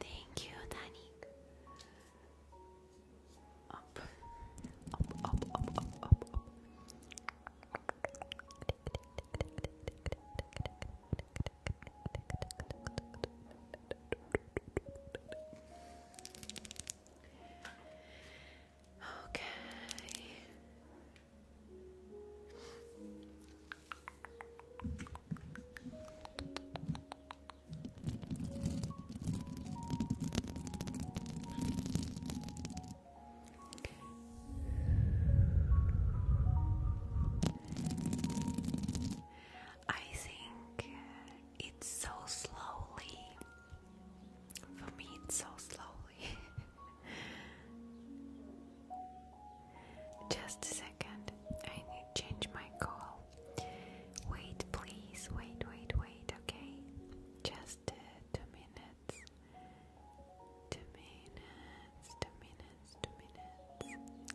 Thank you, Danny. Up, up, up, up, up, up, up. Okay. I think it's so slowly. For me, it's so slowly. Just a second, I need to change my call. Wait, please, wait, wait, wait, okay? Just uh, two minutes. Two minutes, two minutes, two minutes.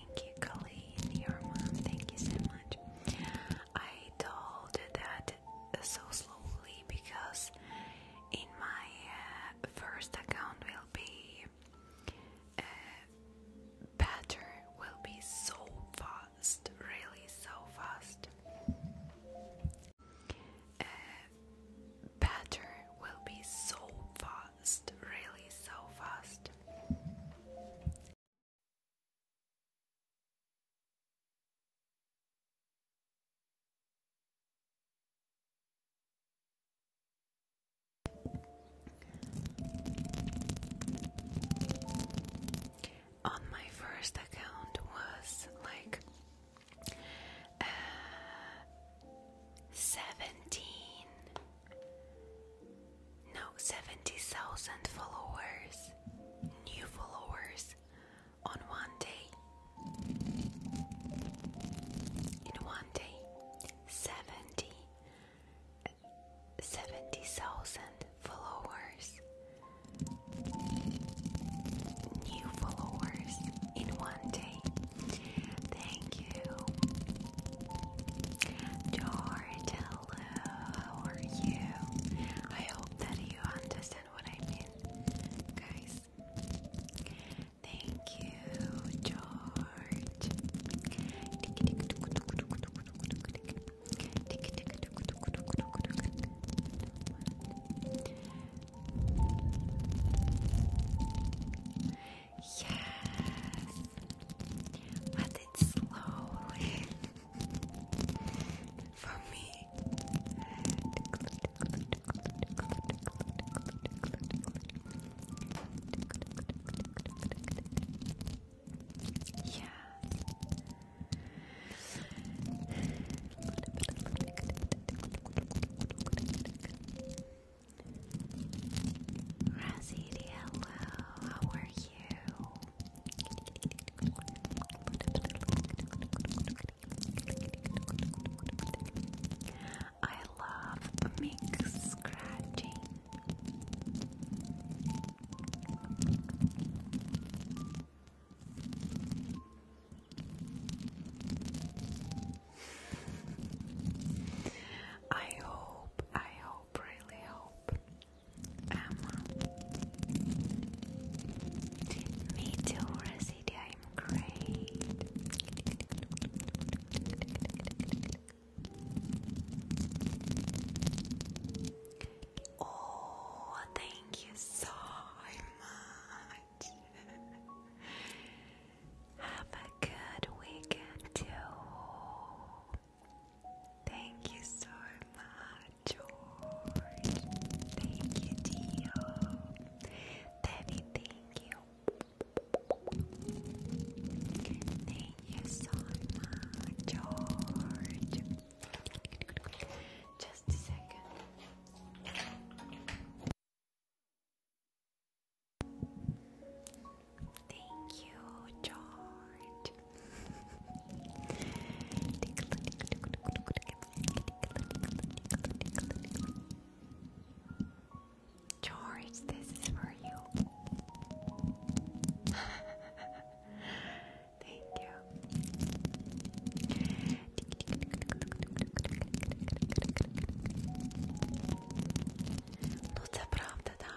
Thank you, Colleen, your Thank you so much. I told that so slowly because in my uh, first account will be uh, better, will be so fast, really so fast. Uh, better will be so fast fast, really so fast. On my first account was like uh, seventeen now 70,000 followers, new followers on one day. In one day, 70 70,000 followers. New followers in one day. Thank you. George, how are you? I hope that you understand what I mean, guys. Thank you, George. Yes. But it's slowly for me. Yeah. Razid, how are you? I love mix scratching. I hope, I really hope. Emma. Me too, Residia, I'm great. Oh, thank you so much. Have a good weekend, too. Thank you so much, George. Thank you, Dio. thank you. Thank you so much, George. Just a second. Thank you, George. George, this is for you. Thank you. No, to prawda, da?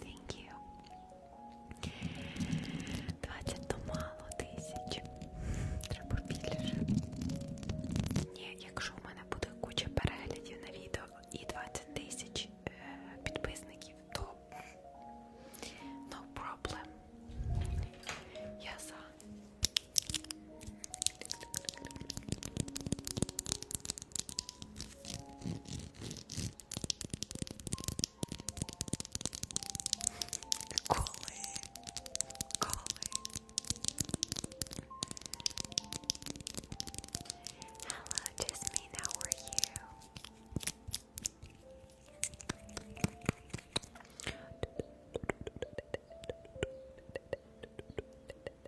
Thank you. 20 то мало тисяч. Треба більше. Ні, якщо в мене буде куча переглядів на відео і 20 тисяч е підписників, то no problem. Я за. Collie, Collie. Hello, Jasmine. How are you?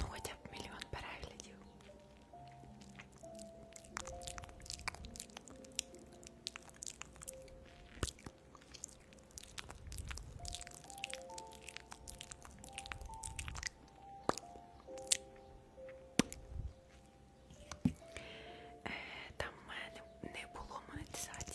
Ну хоча б мільйон переглядів. Э, там в э, мене не було монетизації.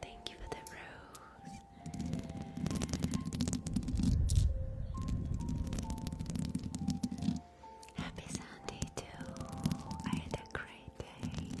Thank you for the rose. Happy Sunday too. I had a great day.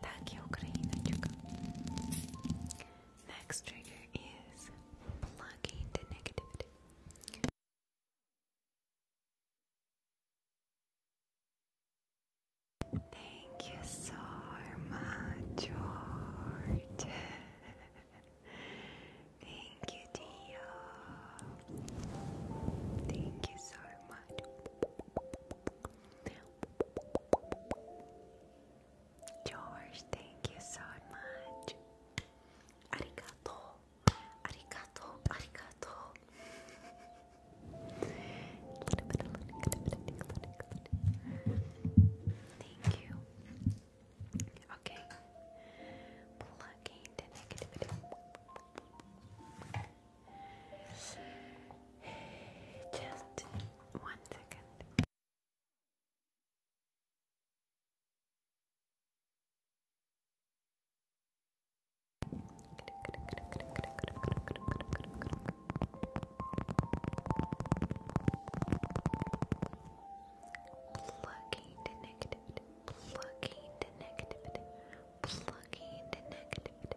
Так и Украиночка. Next trigger is plugging the negativity. Thank you so much, George. Thank you, Dio. Thank you so much. George, thank you so much. Arigato, arigato, arigato. Thank you. Okay. Plugging the negativity. Just one second. Plugging the negativity, plugging the negativity, plugging the negativity,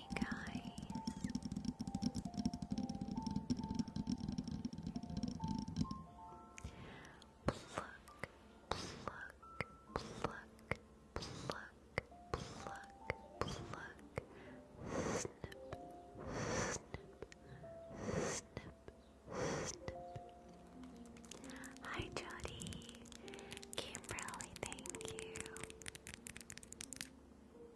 guys. Pluck, pluck, pluck, pluck, pluck, pluck. Snip, snip, snip, snip. Hi, Jody. Kimberly, thank you.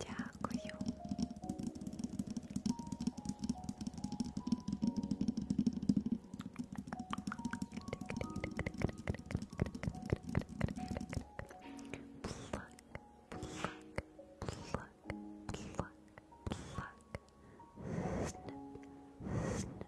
Дякую. Pluck, pluck, pluck, pluck, pluck. Snip, snip,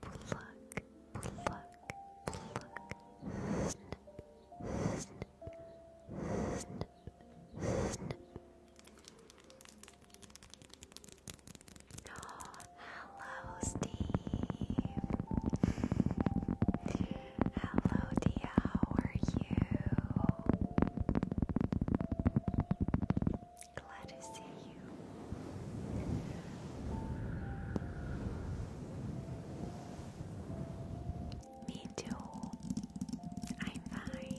pluck, pluck, pluck, snip, snip, snip, hello, Steve. hello, Dia. How are you? glad to see you. Me too. I'm fine.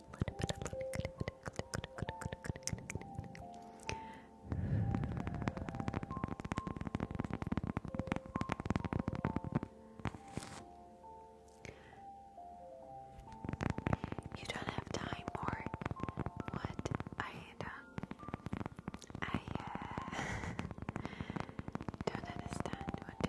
You don't have time, or what? I don't. Uh, I uh, don't understand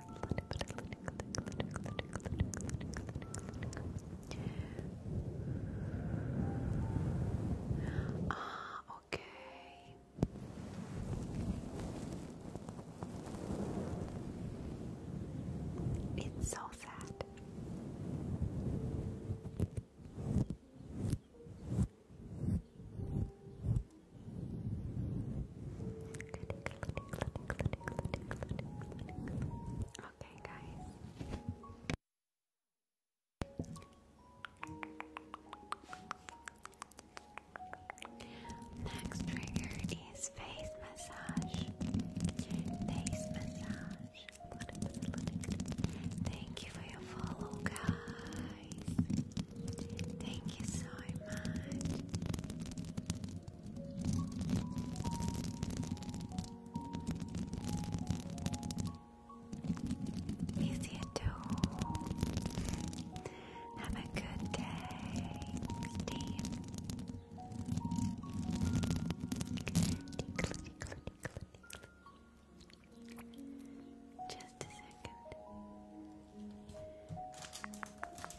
Ah, okay. It's so sad. Okay, guys. Next trigger is face massage. Face massage. Thank you for your follow, guys. Thank you so much. Easy to Have a good day, Steve. Just a second.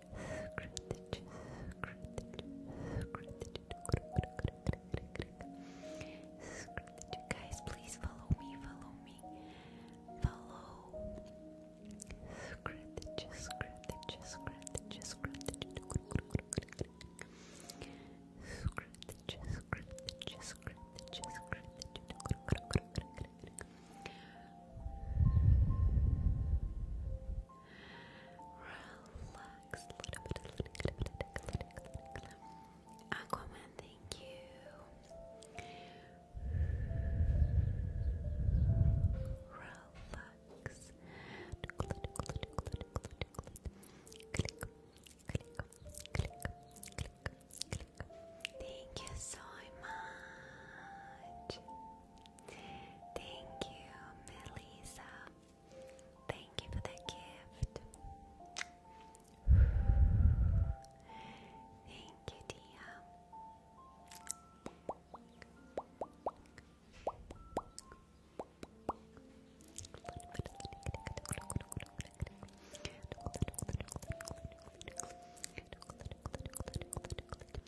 Guys, please follow me, follow me, follow. Relax Aquaman, thank you. Relax. Click, click, click, click, click, click. Thank you so much. Thank you, Melissa. Thank you for that gift. Thank you, Tia.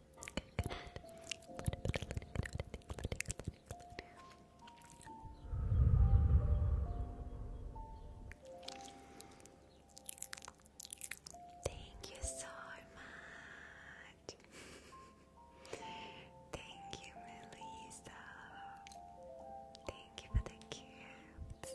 Thank you so much. Thank you, Melissa. Thank you for the gifts.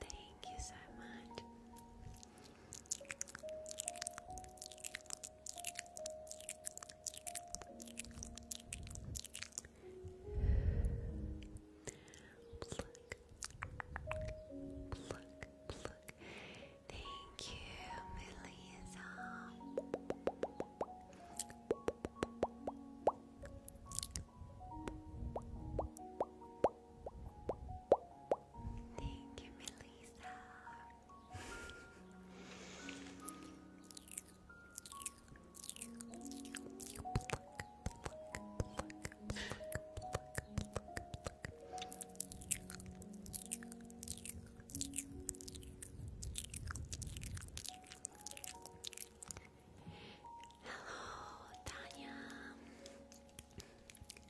Thank you so much. Pluck, pluck, pluck. Thank you, Melissa. Thank you, Melissa. Hello, Tanya.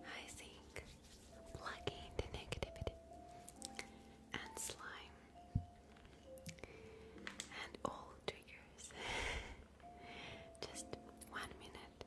I think plugging the negativity and slime and all triggers. Just one minute.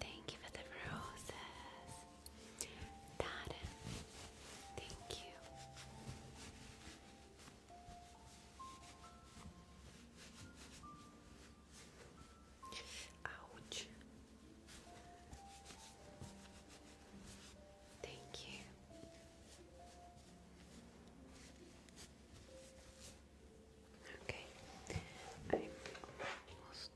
Thank you for the roses. Dada, thank you. Ouch. Thank you. Okay, I'm almost.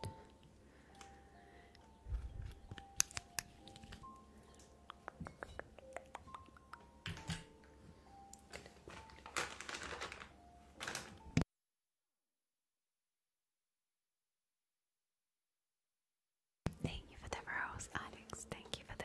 Thank you for the rose, Alex. Thank you for the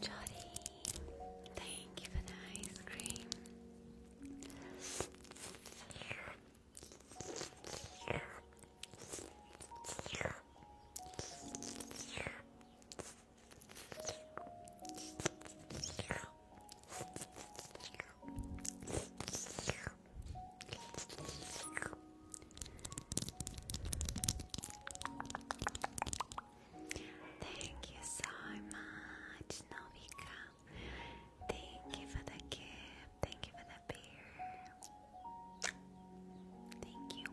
Jody, thank you for the ice cream. Thank you so much, Novika. Thank you for the gift. Thank you for the beer. Thank you. Thank you.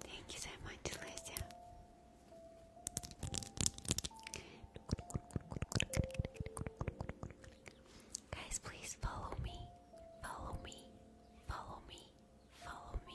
Thank you so much, Alicia. Guys, please follow me, follow me, follow me, follow me.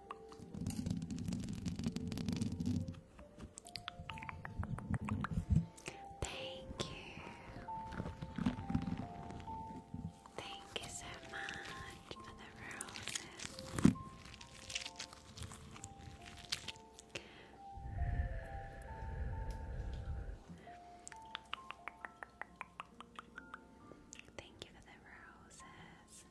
Thank you. Thank you so much for the roses. Thank you for the roses.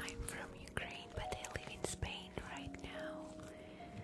I'm from Ukraine, but I live in Spain right now.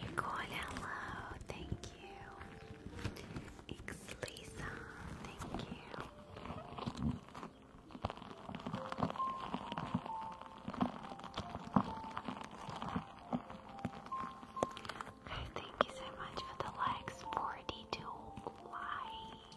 Nicole, hello, thank you. It's thank you. Thank you so much for the likes, 42 likes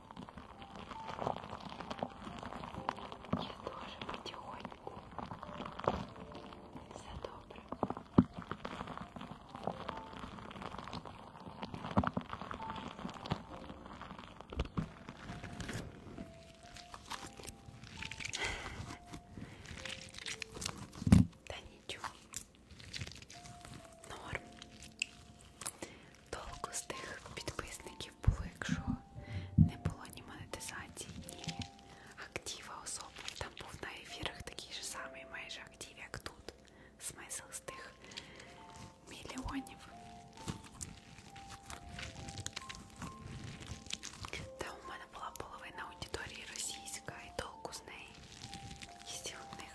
Я тоже потихоньку за добро. Да ничего. Норм толку з тих підписників було, якщо не було ні монетизації, ні актива особи. Там був на ефірах такий же самий майже актив, як тут. Смисл з тих мільйонів. Та у мене була половина аудиторії російська і толку з неї. Якщо в них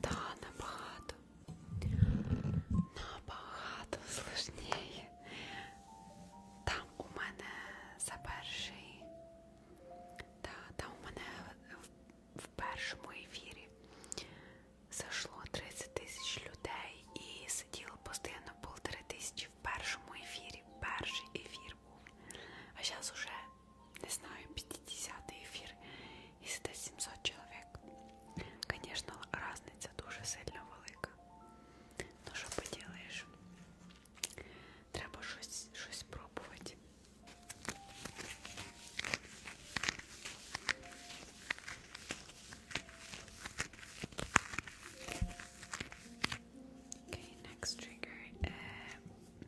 Та, набагато. Набагато сложніше. Там у мене за перший. Та, там у мене в, в першому ефірі зайшло 30 тисяч людей і сиділо постійно полтори тисячі в першому ефірі. Перший ефір був. А зараз уже не знаю, 50 эфир, если это 700 человек. Конечно, разница дуже сильно велика. Ну що поділаєш? Треба щось, щось пробувати. Okay, next trigger. Uh,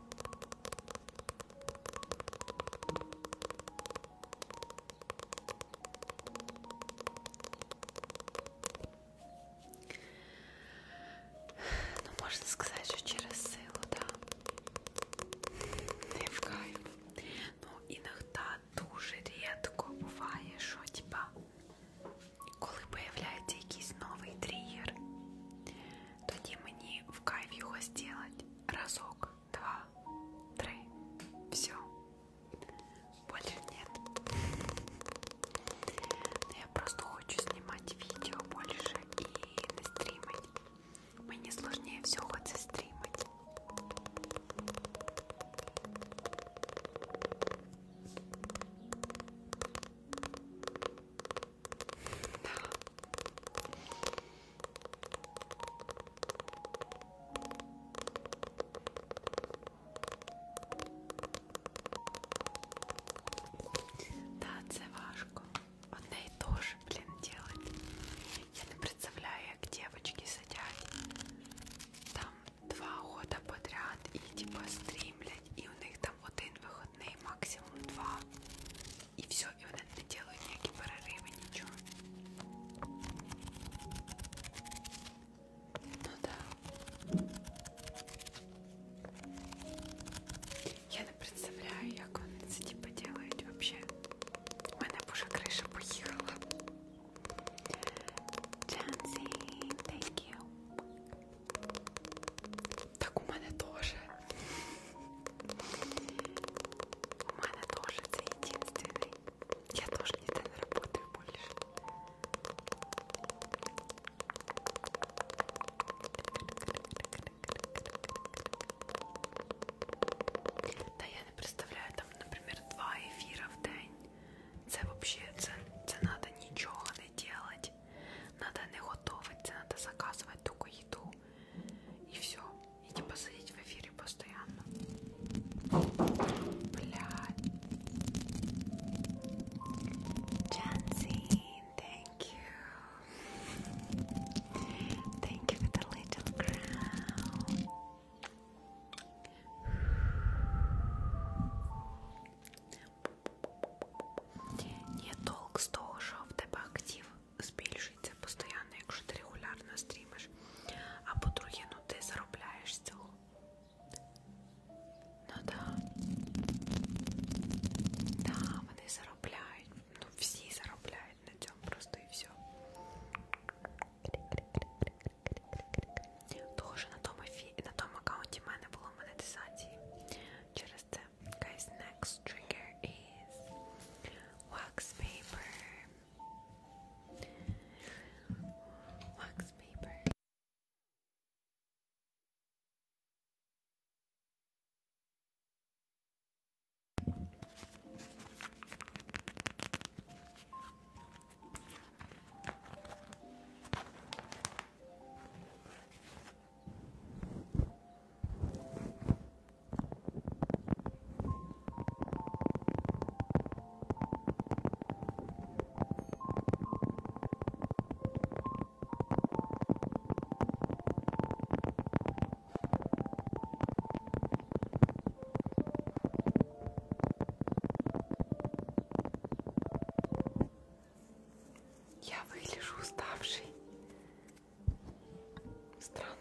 Ну, можна сказати, що через силу, да. Не в кайф. Ну, іногда дуже рідко буває, що типа, коли появляється якийсь новий тригер, Тоді мені в кайф його зробити разок, два, три. Все. Больше нет. Но я просто хочу снимать видео больше и стримить. Мне сложнее всего это стримить. Да, це важко. Одне і то ж, блін, делать. Я не представляю, як дівчатки сидять там два года подряд і типа стрімлять, і у них там один вихідний, максимум два і все, і вони не ділають ніякі перериви, нічого. Ну да. Я не представляю, як вони це типу ділають взагалі. У мене б уже криша поїхала. Джансі, thank you. Так у мене теж. У мене теж це єдинственний. Я теж ніде не працюю більше. Та я не представляю, там, наприклад, два ефіра в день. Це взагалі, це, це треба нічого не робити. Надо не готовить, це надо заказывать только еду и все. И не типа посадить в эфире постоянно. Блядь. Jansi, thank you. Thank you for the little crown. Нет, долг 100 шов, ТБ актив. збільшується постійно, якщо ти регулярно стрімиш. А по-друге, ну ти заробляєш з цього. Ну да. Да, вони заробляють. Ну всі заробляють на цьому просто і все. Того, що на тому, фі... на тому аккаунті в мене було монетизації. Через це guys, next trigger is wax paper. Wax paper. Я выгляжу уставшей, Странно.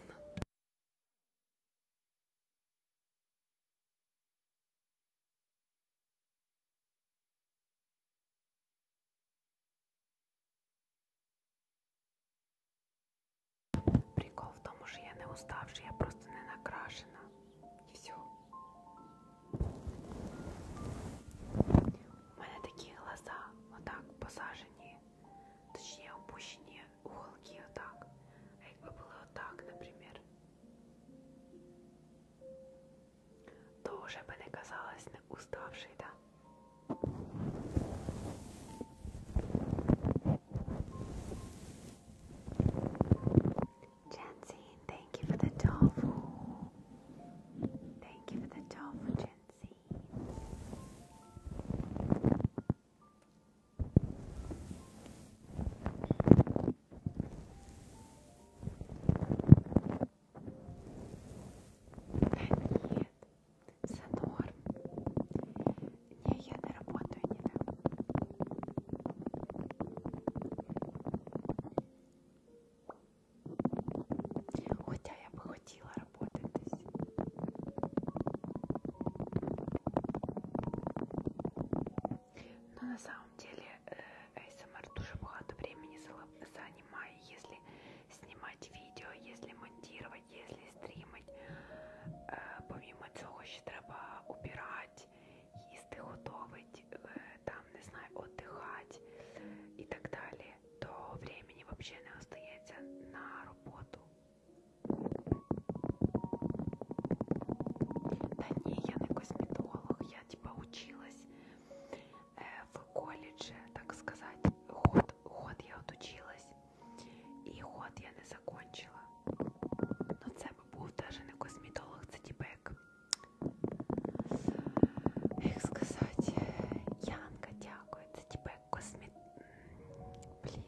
Прикол в тому, що я не уставши, я просто не накрашена. І все. У мене такі глаза, отак посажені Точнее, опущенные уголки вот так. А якби були отак, наприклад, то вже би не казалось не уставший, да? Jensen, thank you for the tofu. Thank you for the tofu, Jensen нет, Сонор. Не, я на работу не дам. Хотя я бы хоть светило работает здесь. Но на самом деле ASMR э, эм тоже много времени занимает, если снимать видео, если монтировать, если стримить. Э, помимо цього ще треба убирать, їсти готовить, э, там не знаю, отдыхать і так далі то времени вообще не остається на роботу. Та ні, я не косметолог, я типа училась э, в коледже, так сказать. Год, год я отучилась, і год я не закончила. Ну це б був даже не косметолог, це типа як, як сказати, Янка, дякую, це типа космет... Блін.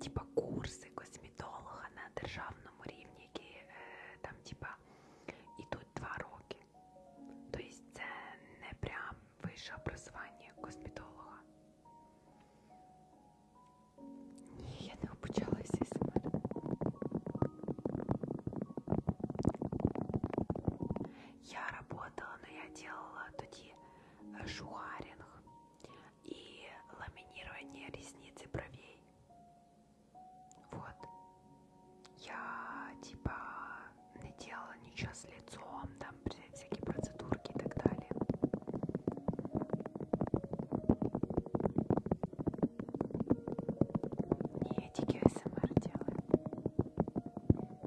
Типа курси косметолога на державному рівні, які е, э, там типа ідуть два роки. Тобто це не прям вище образування косметолога. Ні, я не обучалася себе. я работала, но я делала тоді э, шухарінг і ламінірування різниці бровей. Вот. Я типа не делала ничего с лицом, там всякие процедурки и так далее. Не эти СМР делаю.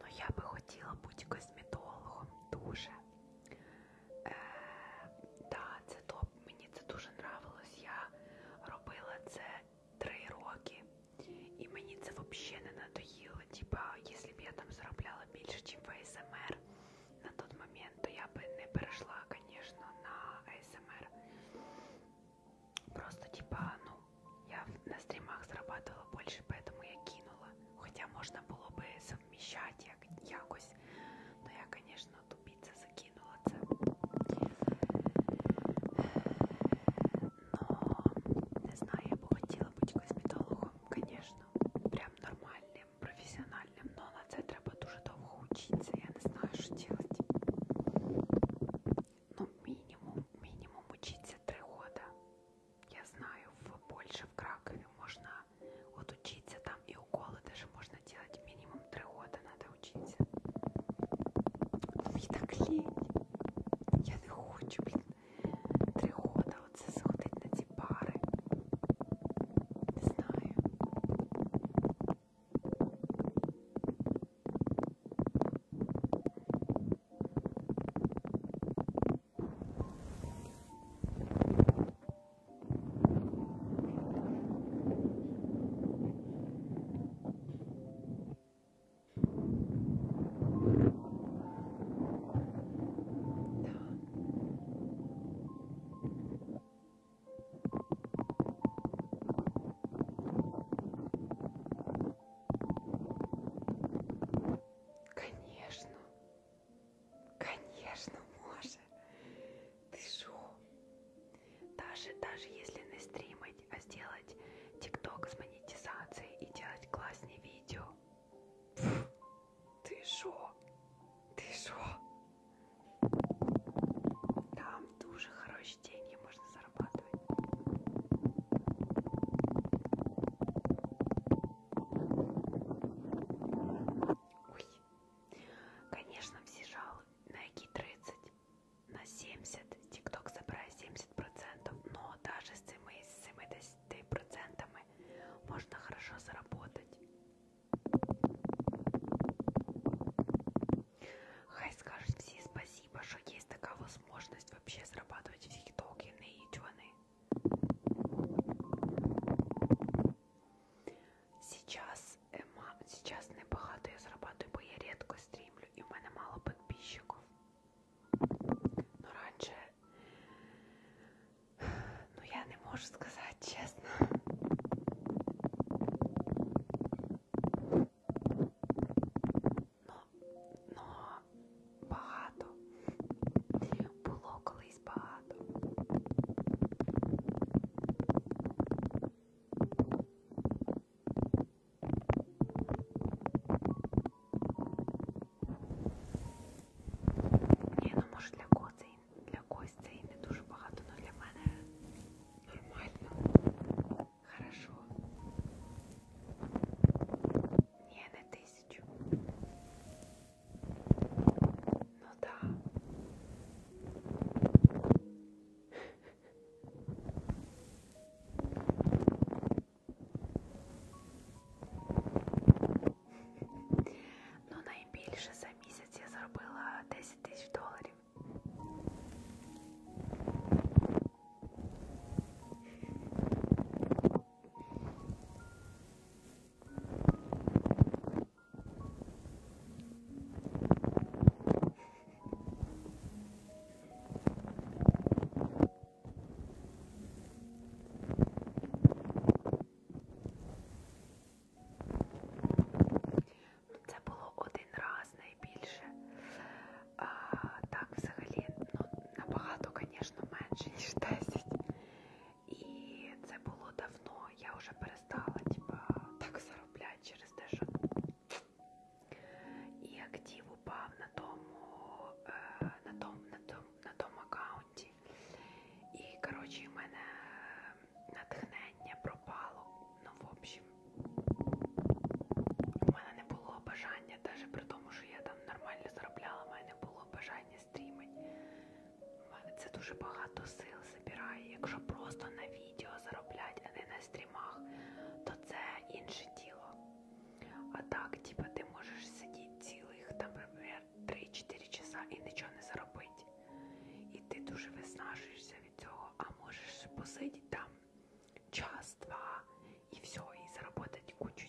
Ну, я би хотіла бути косметологом дуже. Е, э, да, це топ. Мені це дуже нравилось. Я робила це три роки, і мені це взагалі не надоїло. Типа, якщо б я там заробляла більше, ніж в АСМР эм на той момент, то я би не перейшла, звісно, на АСМР. Эм Просто, типа, ну, я на стрімах зарабатывала більше, поэтому я кинула. Хоча можна було би совміщати як, якось. Ну я, звісно, тупіця закинула це. Но не знаю, я б хотіла бути косметологом, звісно, прям нормальним, професіональним, але на це треба дуже довго вчитися. Я не знаю, що робити. Ну, мінімум, мінімум учиться 3 года. Я знаю, в Польше, в Кракове можно вот учиться, там и уколы даже можно делать минимум три года надо учиться. Мені так лінь. Я не хочу, блін. Три года оце заходить на ці пари. Не знаю. Конечно, Конечно, може. Ты шо? Даже, даже если не стримать, а сделать тикток с монетизацией и делать классные видео. Фу, ты шо? Ты шо? Там дуже хорошие деньги можно зарабатывать. Ой. Конечно, всі жали на які 30, на 70. Тікток забирає 70%, но даже з цими 70% можна хорошо заработать. Хай скажуть всі спасибо, що є така можливість вообще зарабатывать в тіктокі, не ідюни. Сейчас ема, сейчас небагато я зарабатую, бо я рідко стрімлю і в мене мало підписчиків. Ну раніше, ну я не можу сказати чесно. Но, но багато. Було колись багато. Ні, ну може для когось це і, для когось це і не дуже багато, але ну, для мене нормально. Хорошо. Ні, не тисячу. Ну да. Ну, найбільше за місяць я заробила 10 тисяч доларів. Це було один раз найбільше. А, Так, взагалі, ну, набагато, звісно, менше, ніж 10. І це було давно, я вже перестала типа, так заробляти через те, що і актив упав на тому е, на тому, на тому, на тому аккаунті. І, коротше, в мене натхнення пропало. Ну, в общем, у мене не було бажання, навіть при тому, що я там нормально заробляла, в мене не було бажання стрімить. У мене це дуже багато сил забирає. Якщо просто на відео зароблять, а не на стрімах, то це інше діло. А так, типа, ти можеш сидіти цілих, там, наприклад, 3-4 часа і нічого не заробити. І ти дуже виснажуєшся від цього, а можеш посидіти там час-два і все, і заробити кучу.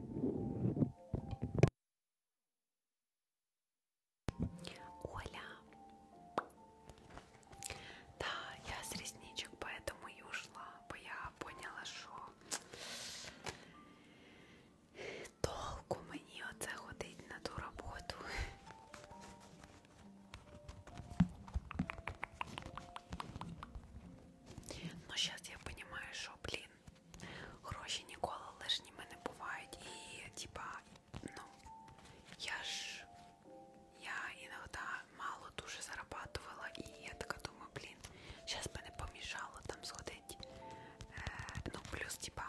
Оля. Да, я с ресничек поэтому и ушла, бо я поняла, що толку мені оце ходить на ту роботу. Ну, зараз я розумію, що, блін, гроші ніколи лишніми не бувають. І, типа, ну, я ж, я іноді мало дуже зарабатувала, і я така думаю, блін, зараз би не помішало там сходити. Е, ну, плюс, типа,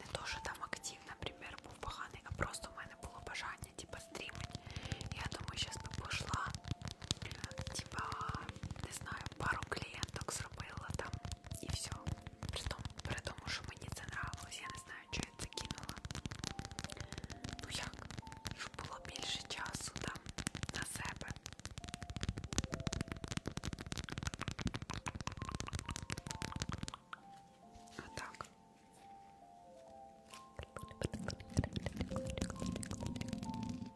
не то, що там актив, наприклад, був поганий, а просто в мене було бажання, типа, стрімити. Я думаю, зараз би пішла типа, не знаю, пару клієнток зробила там і все. При тому, при тому, що мені це нравилось, я не знаю, що я це кинула. Ну як, щоб було більше часу там на себе. Отак. А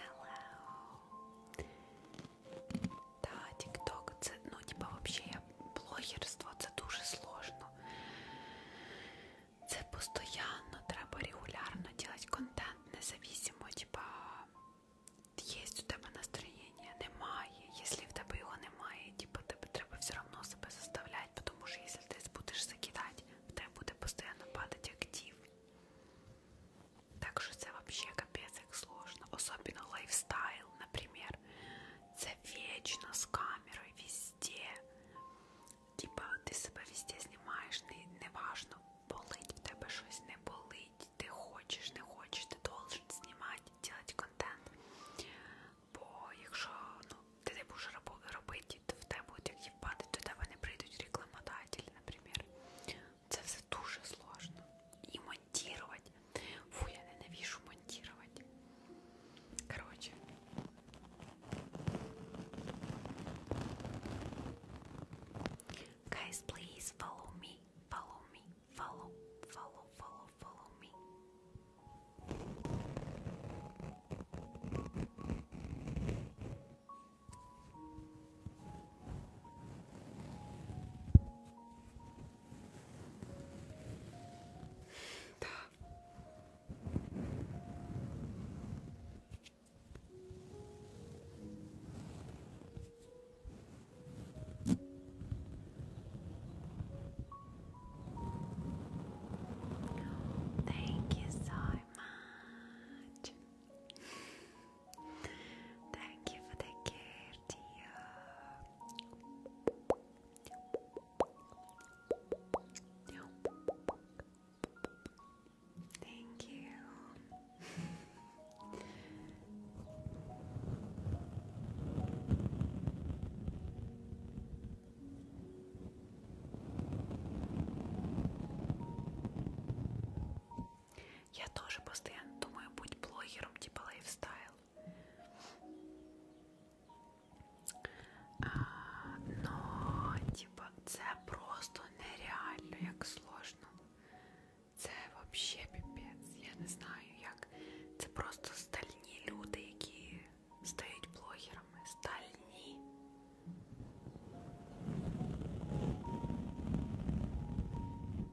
Hello. Да, тік-ток, це, ну, типа, взагалі, блогерство, це дуже сложно. Це постоянно, треба регулярно делать контент, независимо, типа, є у тебе настроєння, немає. Якщо в тебе його немає, типа, тебе треба все одно себе заставляти, тому що якщо ти будеш закидати, в тебе буде постійно падати актив. Так що це взагалі капець як сложно. Особливо лайфстайл, наприклад. Це вічно з камерою, везде. Типа ти себе везде знімаєш, не, не важно, болить в тебе щось, не болить, ти хочеш, не хочеш, ти должен знімати, робити контент. Бо якщо ну, ти не будеш робити, то в тебе будуть як їбати, до тебе не прийдуть рекламодателі, наприклад. Це все дуже сложно. І монтувати. Фу, я ненавіжу монтувати. Коротше. Guys, please follow me, follow me, follow, follow, follow, follow me. Tá. Thank you so much. Thank you for the care, dear. Thank you. Я тоже постоянно думаю, будь блогером типа лайфстайл. А, но, типа, це просто нереально, як сложно. Це вообще піпець. Я не знаю, як. Це просто стальні люди, які стають блогерами. Стальні.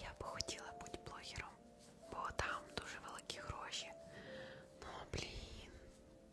Я би хотіла бути блогером, бо там дуже великі гроші. Ну блін,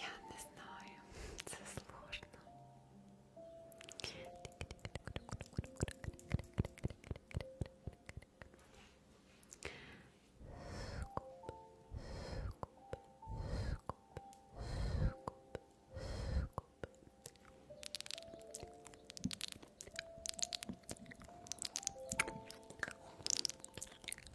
Я не знаю, це сложно. Скуп, скуп, скуп, скуп.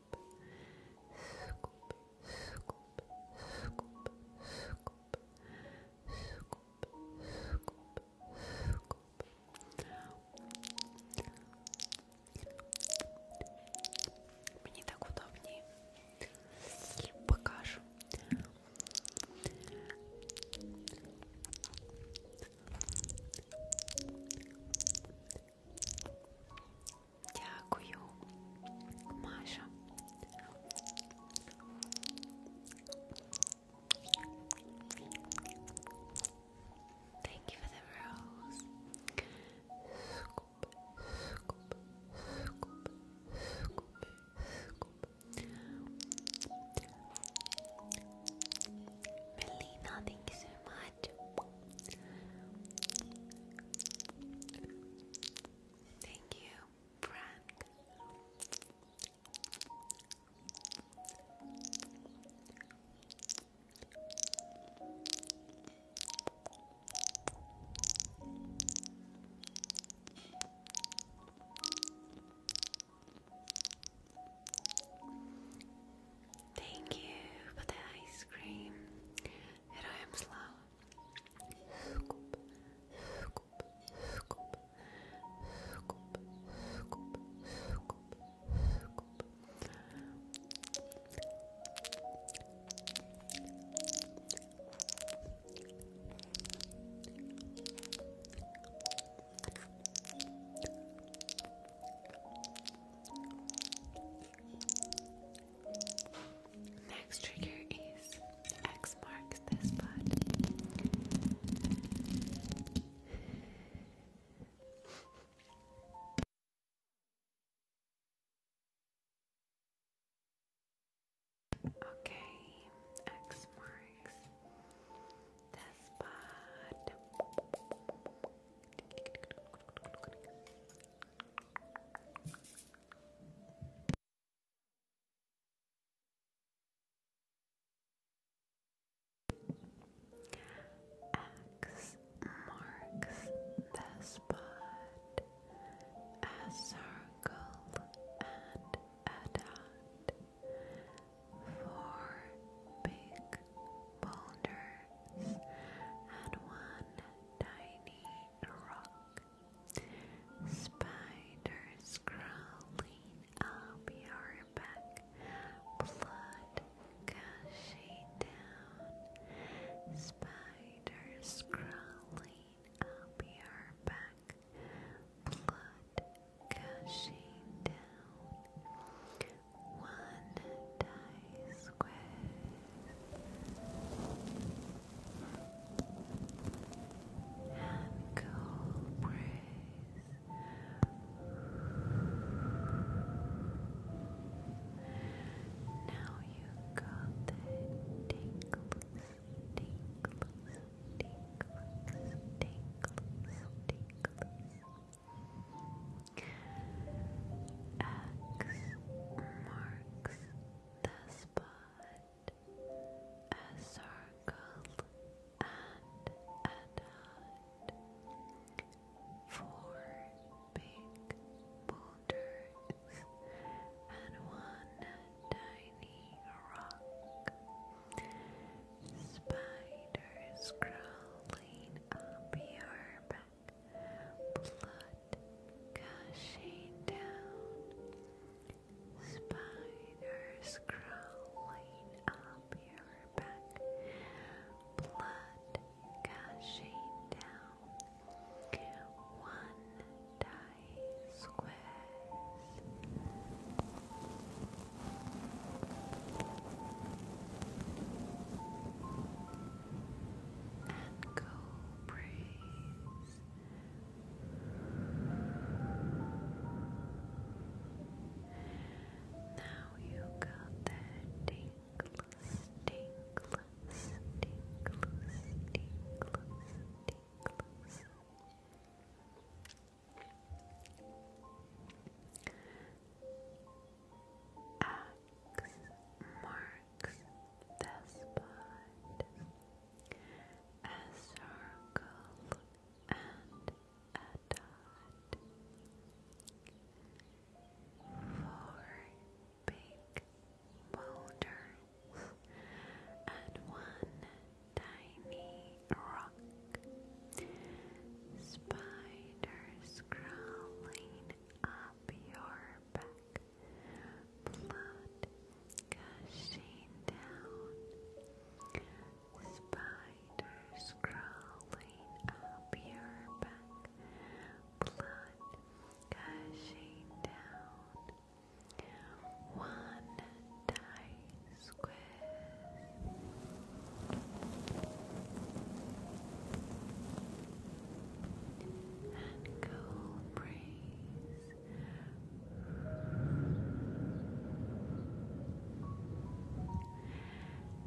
скуп, скуп, скуп, скуп, скуп, скуп, скуп. Мне так удобнее. Покажу. Дякую, Маша. Thank you for the rose. Scoop, scoop, scoop, scoop, scoop. Melina, thank you so much. Thank you, Frank. Thank you for the ice cream. Героям слава. Скуп, скуп, скуп, скуп, скуп, скуп, скуп. Next trigger is X marks this spot. Okay, X marks this spot. X marks the spot, a circle and a dot, four big boulders and one tiny rock. Spiders crawling up your back, blood gushing down. Spiders crawling up your back, blood gushing down. One dies squares. And cobras. Now you got the tingles, tingles, tingles, tingles, tingles. X marks marks the spot a circle and a dot four big boulders and one tiny rock spiders crawling up your back blood gushing down, spiders crawling up your back, blood gushing down, one die squares and go praise. Now you got that tingles, tingles, tingles, tingles, tingles. X marks marks the a circle and a dot four big boulders and one tiny rock spiders crawling up your back blood gushing down, spiders crawling up your back, blood gushing down. One die squid.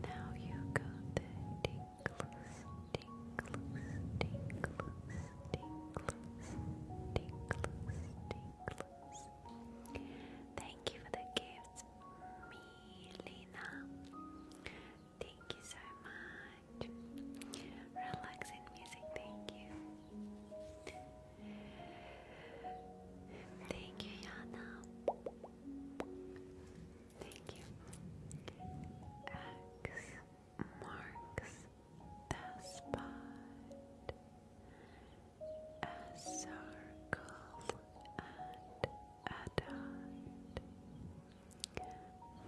Now you got the tingles, tingles, tingles, tingles, tingles, tingles. Thank you for the gifts, Milena. Thank you so much. Relaxing music, thank you. Thank you, Yana. Thank you. X marks the spot. A circle and a dot.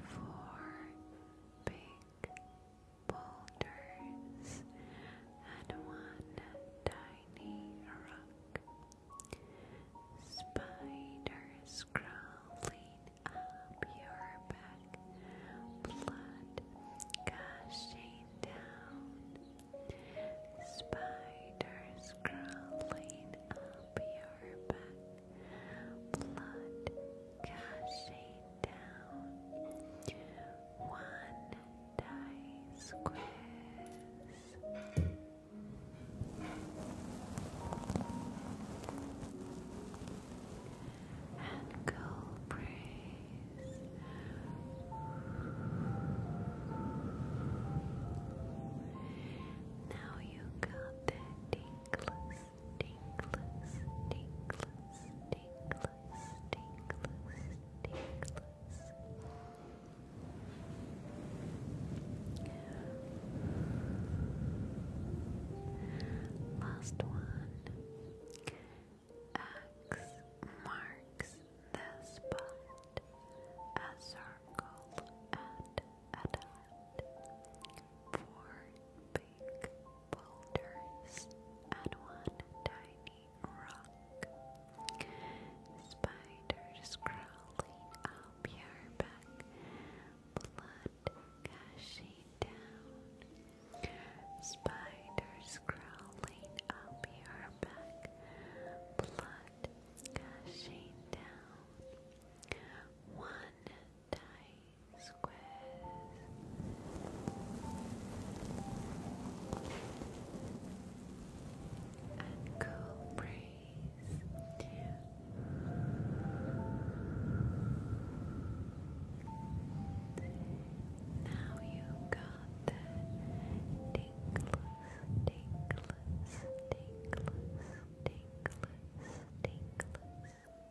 Four boulders and one tiny rock. Spiders crawling up your back, blood gushing down. Spiders crawling up your back blood gushing down one dice quiz. And go breathe. Now you got the tingles tinkless, tinkless, tinkless, tinkless, tinkless. Last one. X marks the spot. A circle and a dot. Four big boulders and one tiny rock. Spiders crawling up your back, blood gushing down. Spiders crawling up your back, blood gushing down. One tight squares and cool Now you got the tingles, tingles, tingles, tingles, tingles.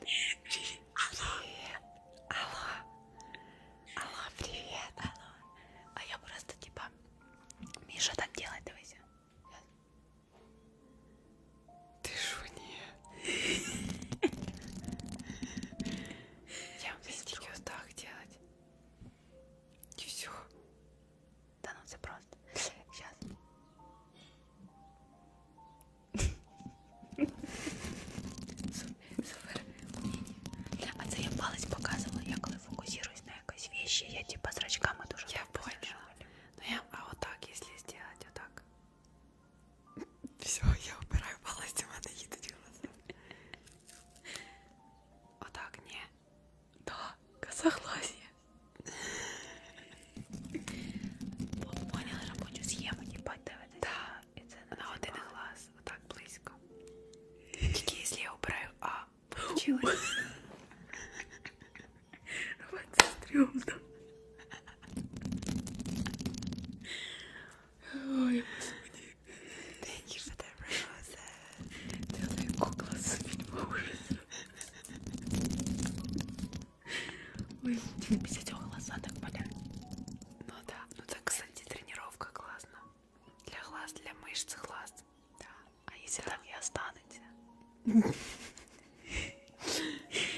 Привет. Привет. Алло. Алло, привет. Алло. А я просто типа... Миша, так делай, давай. Ты шо, нет? Я мистики вот так делать. И все. Да ну все просто. Сейчас. Супер А це я палець показувала, я коли фокусуюсь на якісь вещи, я типа зрачками дуже Я поняла. Ну я, а отак, якщо зробити отак. Все, я обираю палець, у мене їдуть глаза. Отак, ні. Да, согласие. Поняла рабочую схему, ебать, да, да і це на один глаз, отак близько. Тільки якщо я обираю А. Получилось. це стрьомно. Ой, господи. Thank you for the rose. Ты моя кукла с фильма ужаса. Ой, тебе писать его глаза так болят. Ну да, ну так, кстати, тренировка классно. Для глаз, для мышц глаз. Да. А если да. там и останется?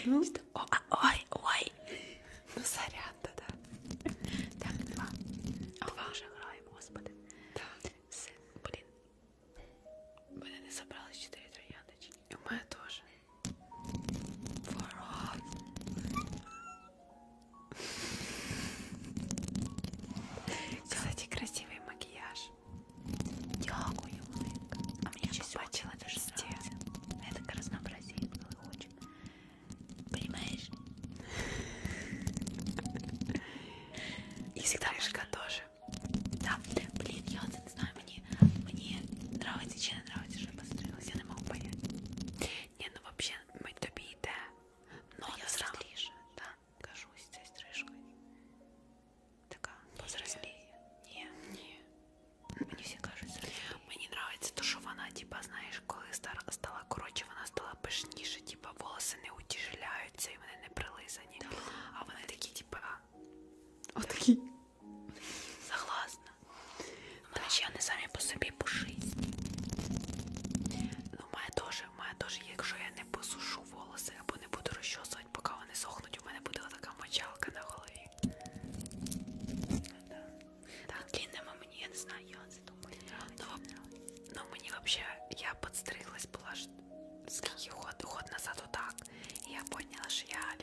Ну. А, ой, ой. Ну сорян, да-да. Так, два. Два уже играем, господи. Да. Блин. Блин, я собралась четыре трояндочки. И у меня тоже. Пора. Кстати, красивый макияж. Дякую, Майка. А мне еще бачила даже сделать. Я так разнообразие очень. Понимаешь? И всегдашка тоже. Да, блин, я вот не знаю, мне, мне нравится, чем нравится дуже пострілась, я не можу понять. Ні, ну вообще ми тобі йде. Но а я зразу да, кажусь цією стрижкою. Така повзросліє. Ні, ні. Мені всі кажуть, мені подобається то, що вона, типа, знаєш, коли стар... стала коротше, вона стала пишніше, типа волоси не утяжеляються і вони не прилизані. Да. А вони такі, типа. А? Отакі. Согласна. Англичани самі по собі пушисті. Ну, в мене теж, в мене теж, якщо я не посушу волоси або не буду розчосувати, поки вони сохнуть, у мене буде така мочалка на голові. Да. Так, длинному мені, я не знаю, я це думаю. Ну, ну, мені взагалі, я подстриглась, була ж скільки год, год назад отак. І я поняла, що я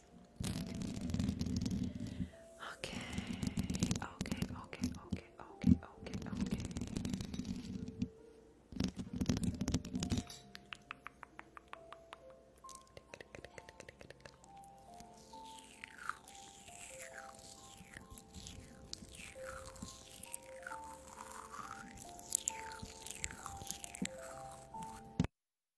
yes. Okay, okay, okay, okay, okay, okay, okay.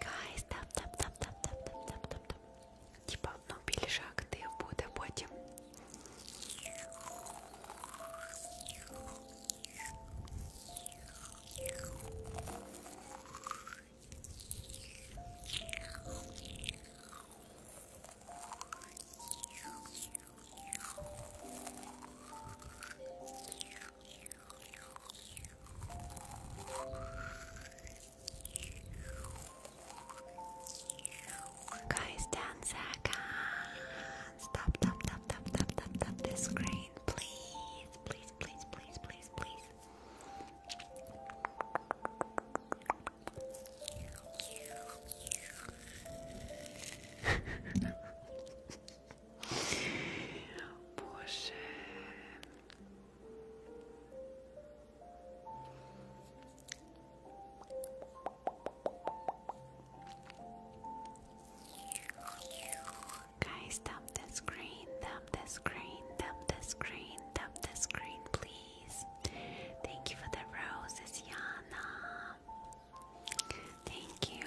Guys, там, там, там, там, там, там, там, там, там. Типа, ну, більшак ти буде потім. Guys, ten seconds. Stop, stop, stop, stop, stop, stop, stop the screen, please, please, please, please, please, please. Guys, dump the screen, dump the screen, dump the screen, dump the screen, please. Thank you for the roses, Yana. Thank you.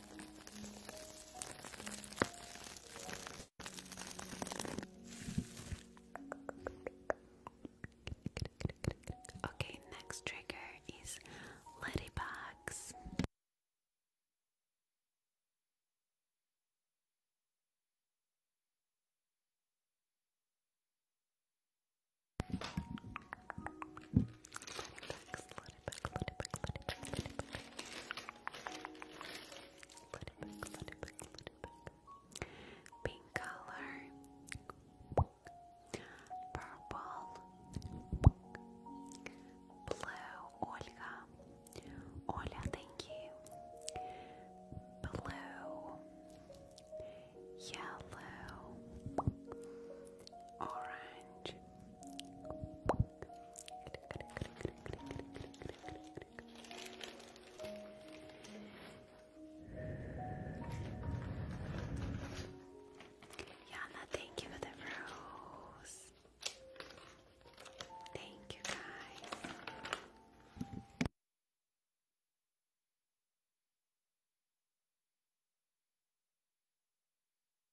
Okay, next trigger is ladybugs. Pink color, purple, blue, Olga, Olga, thank you, blue, yellow, orange, Yana, thank you for the rose. Thank you, guys.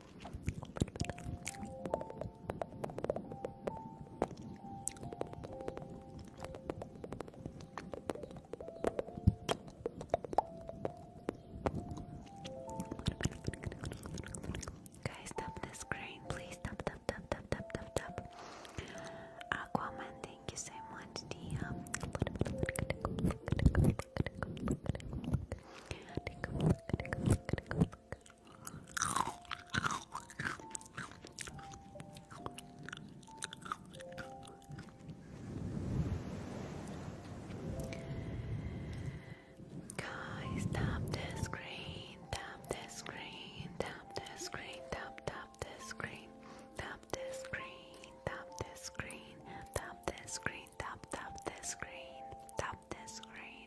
Guys, stop the screen, please. Stop, stop, stop, stop, stop, stop, stop. Aquaman, thank you so much, Guys, tap the screen, tap the screen, tap the screen, tap tap the screen, tap the screen, tap the screen, tap the screen, tap tap the screen, tap the screen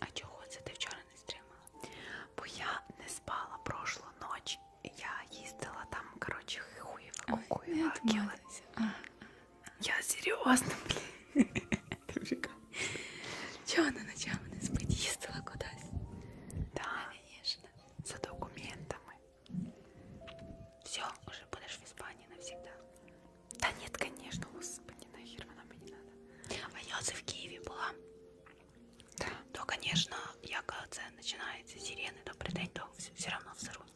А чого це ти вчора не стримала? Бо я не спала прошлу ніч. Я їздила там, коротше, хуєва кукуєва. А. Я серйозно, блін. Чого вона ночами не спить? Їздила кудись? Так, звісно. За документами. Все, уже будеш в Іспанії навсегда. Да нет, конечно, господи, нахер она мне не надо. А я в Киеве была. Да. То, конечно, я когда начинается сирены, то придать, то все, все равно взорвусь.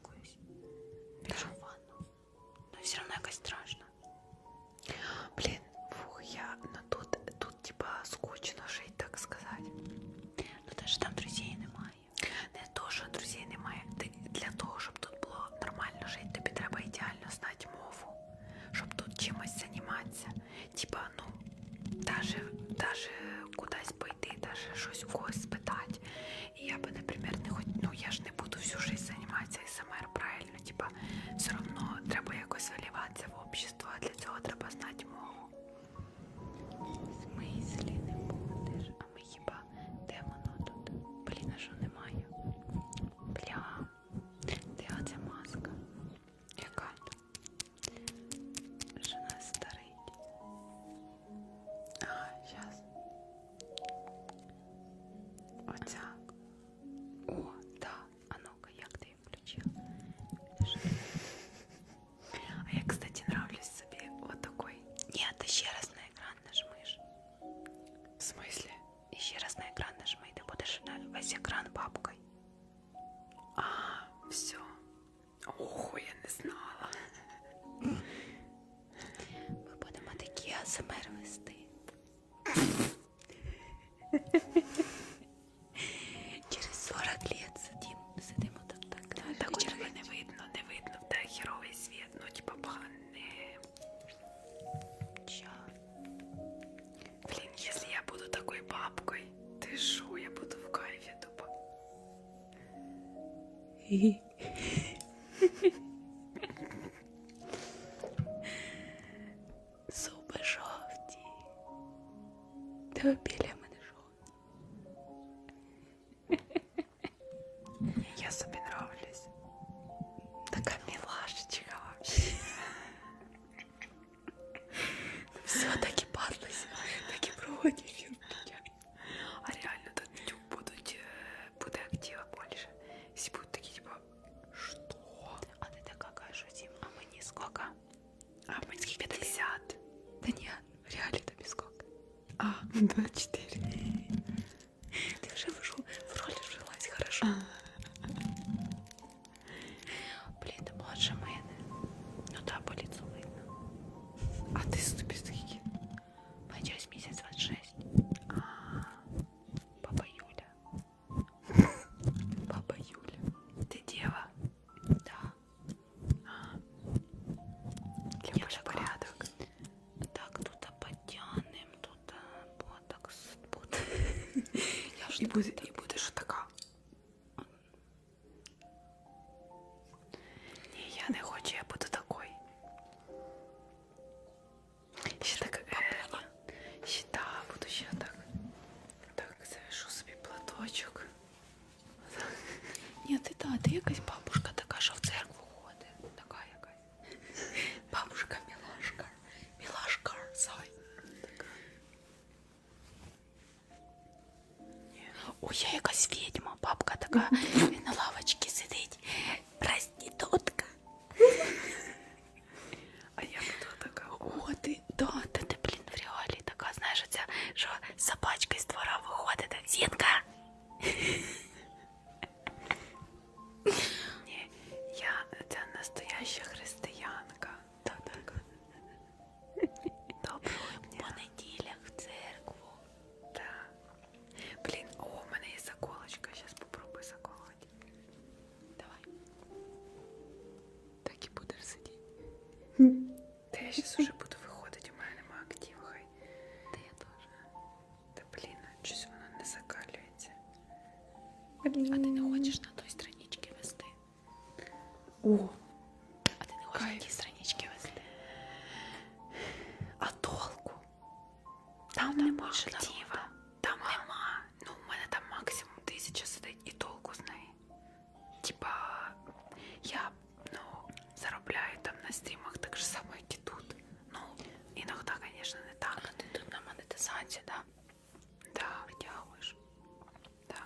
Даже в ванну. Но все равно как страшно. Блин, фух, я, но ну тут, тут типа скучно жить, так сказать. Ну даже там друзей немає. Не то, що друзей немає. Для того, щоб тут було нормально жити, тобі треба ідеально реально знати мову, щоб тут чимось займатися. Типа, ну, даже, даже кудись пойти, даже щось у когось спитати. І я би, наприклад, не хоч, ну я ж не буду всю життя займатися СМР, правильно, типа, все одно треба якось виліватися в общество, а для цього треба знати мову. В смислі не будеш, а ми хіба де воно тут? Блін, а що немає? Бля. Третя маска. Яка? Що нас старить. А, зараз. Оця. О, да. А ну-ка, як ти її включила? А я, кстати, нравлюсь собі вот такой. Нет, ты ще раз на экран нажмешь. В смысле? И ще раз на экран нажимай, ты будешь на весь экран папкой. А, все. Ого, я не знала. Ми будемо такі АСМР вести. Через 40 лет сидим, сидимо там так. Ну, так червоне не видно, не видно, та херовий світ, ну типа поганий. Чё? Блин, если я буду такой бабкой, ты шо, я буду в кайфе тупо. Зуби жовті. Та біля мене жовті. Я собі нравлюсь. Такая милашечка вообще. Все-таки падлась, таки проводить. А реально тут YouTube будуть, э, буде актива більше. Всі будуть такі, типа, що? А ти така кажеш, Дім, а мені скільки? А мені 50. Да нет, реально тобі скільки? А, 24. Ну ты уже в роль вжилась хорошо. Блин, ты младше мене. Ну да, по лицу видно. А ты ступистки. Почалась месяц 26. А, папа Юля. Папа Юля. Ты дева? Да. Для порядок. Так, тут подтянем, тут Тут ботокс, тут. Я ж і, буде, і будеш така. Ні, я не хочу, я буду такой. Ще так, е, ще, да, буду ще так. Так, завяжу собі платочок. Ні, ти да, ти якась бабушка така, що в церкву ходить. Така якась. Бабушка милашка, милашка, сай. Ой, я якась ведьма, бабка така на лавочці сидить. Проститутка. А я хто така? О, ти, да, та ти, блін, в реалі така, знаєш, оця, що собачка з двора виходить, зінка. Ні, я це настояща християнка. Так, так. Доброго дня. По неділях в церкву. Так. Блін, о, в мене є заколочка. Зараз попробую заколоти. Давай. Так і будеш сидіти. Та я зараз уже буду виходити, у мене нема активу, хай. Та я теж. Та блін, щось воно не закалюється. Блін. А ти не хочеш на той страничці вести? О! А ти не хочеш на тій страничці вести? А толку? Там, там нема актива. Там а? нема. Ну, у мене там максимум тисяча сидить і толку з неї. Типа, я ну, заробляю там на стрімах так же само, як і тут. Ну, іноді, звісно, не так. А ти тут на монетизацію, да? Да, вдягуєш. Да.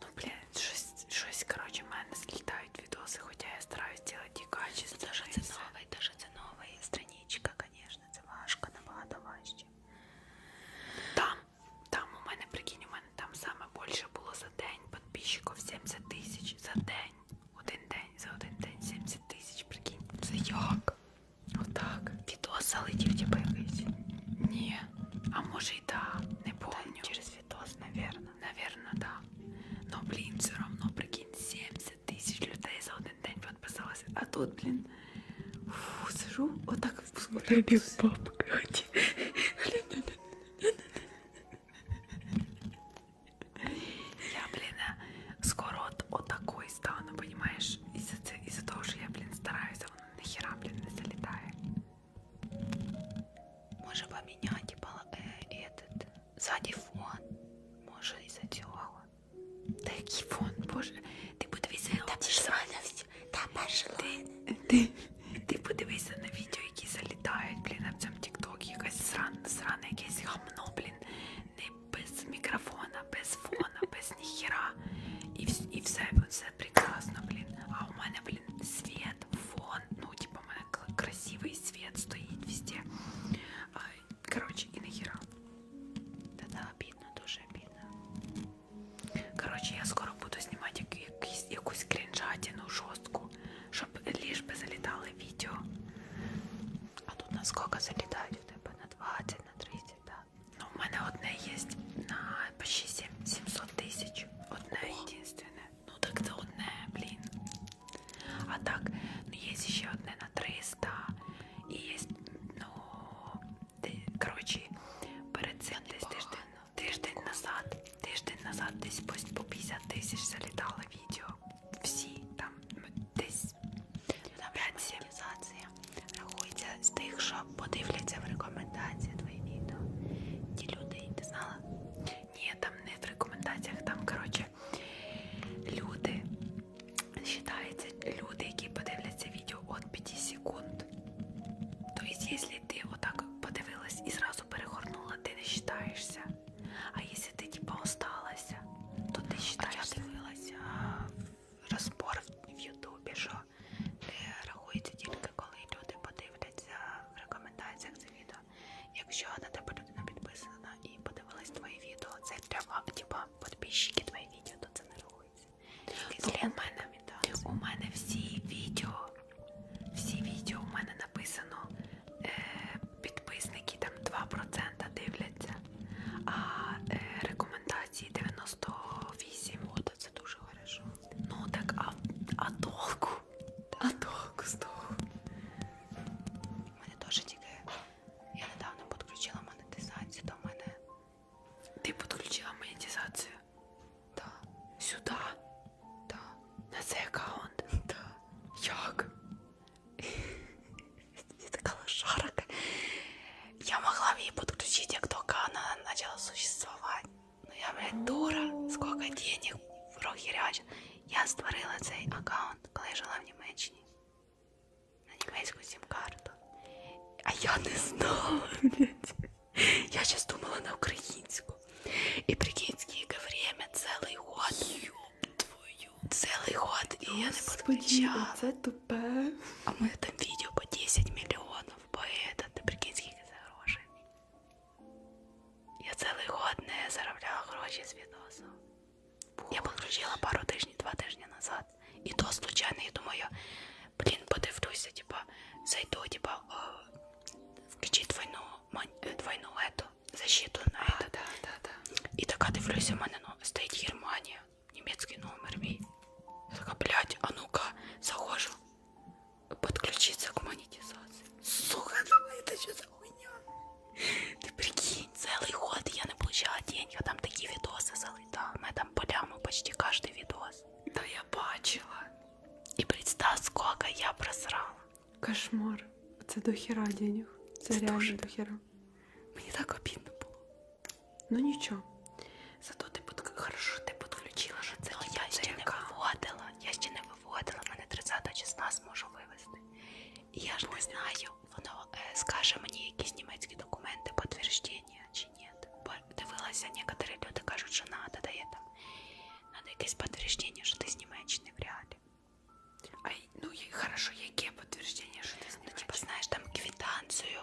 Ну, блядь, щось, щось, короче, в мене слітають відоси, хоча я стараюсь делать і качество. Дуже це новий, дуже це новий. Страничка, звісно, це важко, набагато важче. Там, там у мене, прикинь, у мене там саме більше було за день підписчиків 70 тисяч за день. Один день, за один день 70 тисяч, прикинь. Це як? Отак. Відос залетів типу якийсь? Ні. А може й да, не помню. Та, через відос, навірно. Навірно, да. Ну, блін, все равно, прикинь, 70 тисяч людей за один день підписалося. А тут, блін, фу, сижу, отак в бабка. Я, блін, э, скоро от отакої стану, понимаешь? Из-за из -за того, что я, блин, стараюсь, а он нахера, блин, не залетает. Может поменять, типа, э, этот, сзади фон. Может из-за цього. Да який фон, боже. Ти подивися на Ти, ти подивися на відео, які залітають, блін, на цьому тіктокі. Якась срана, срана, якесь гамно, блін. Не без мікрофона, без фона, без ніхера. І і все все прекрасно, блін. А у мене, блін, світ, фон. Ну, типу, у мене красивий світ стоїть везде. А, Коротше, і ніхера. Та-да, обідно, дуже обідно. Коротше, я скоро буду знімати якусь, якусь крінжатину жорстку, щоб ліж би залітали відео. А тут наскільки залітають у тебе на 20, на 30 да. Ну, в мене одне є на почти 700 тисяч. Одне єдинственне. Ну так це одне, блін. А так, ну є ще одне на 300. І є, ну, коротше, перед цим десь тиждень, тиждень назад, тиждень назад десь по 50 тисяч залітало відео. Всі там десь Yes. Монетизація рахується з тих, що подивляться в рекомендації твої відео. Ті люди, ти знала? Ні, там не в рекомендаціях, там, коротше, люди, вважаються люди, які подивляться відео від 5 секунд. Тобто, якщо ти отак подивилась і зразу перегорнула, ти не вважаєшся. А якщо ти, типа, осталася, то ти вважаєшся. А я дивилася розбор в Ютубі, що не рахується тільки коли люди подивляться в рекомендаціях це відео. Якщо на тебе людина підписана і подивилась твої відео, це для типа підписчики твої відео, то це не рахується. Ну, у, мене, у мене всі відео, всі відео у мене написано. Е, Підписники там 2% дивляться, а е, рекомендації рекомендації 98. От це дуже хорошо. Ну так, а, а толку? А толку з того? У мене теж тільки... Я недавно підключила монетизацію до мене. Ти підключила монетизацію? Так. Да. Сюди? Так. Да. На цей аккаунт? Так. Да. Як? не такого шарока. Я могла в ей подключить, как только она начала существовать. Ну я, блядь, дура, сколько денег прохерячила. Я створила цей аккаунт, коли я жила в Німеччині. На німецьку сім-карту. А я не знала, блядь. Я сейчас думала на українську. І прикинь, скільки время, цілий год. Твою. Цілий год, і я не подключала. Це ТП. А мы там видео по 10 миллионов, по этот, ты прикинь, скільки це грошей. Я цілий год не заробляла гроші з відосу. Я підключила пару тижнів, два тижні назад. І то случайно, я думаю, блін, подивлюся, а, типа, зайду, типа, а, включи двойну, э, двойну ету, защиту на ету. А, да, да, да. І така дивлюся, в мене ну, стоїть Германія, немецкий номер мой. Я такая, блядь, а ну-ка, захожу подключиться к монетизации. Сука, ну это что за хуйня? Ты прикинь, целый год я не получала денег, а там такие видосы залетали. На этом поляму почти каждый видос. Да я бачила. И представь, сколько я просрала. Кошмар. Це дохера денег. Це, Це реально дуже... дохера. Мені так обідно було. Ну нічого. Зато ти під... хорошо ти підключила, що це ну, я ще не виводила. Я ще не виводила, мене 30 числа зможу вивезти. І я ж Понял. не знаю, воно е, э, скаже мені якісь німецькі документи, підтвердження чи ні. Бо дивилася, некоторі люди кажуть, що надо, дає там надо якесь підтвердження, що ти з Німеччини в реалі. А ну і хорошо, яке підтвердження, що ти з Німеччини? Ну, типу, знаєш, там квитанцію,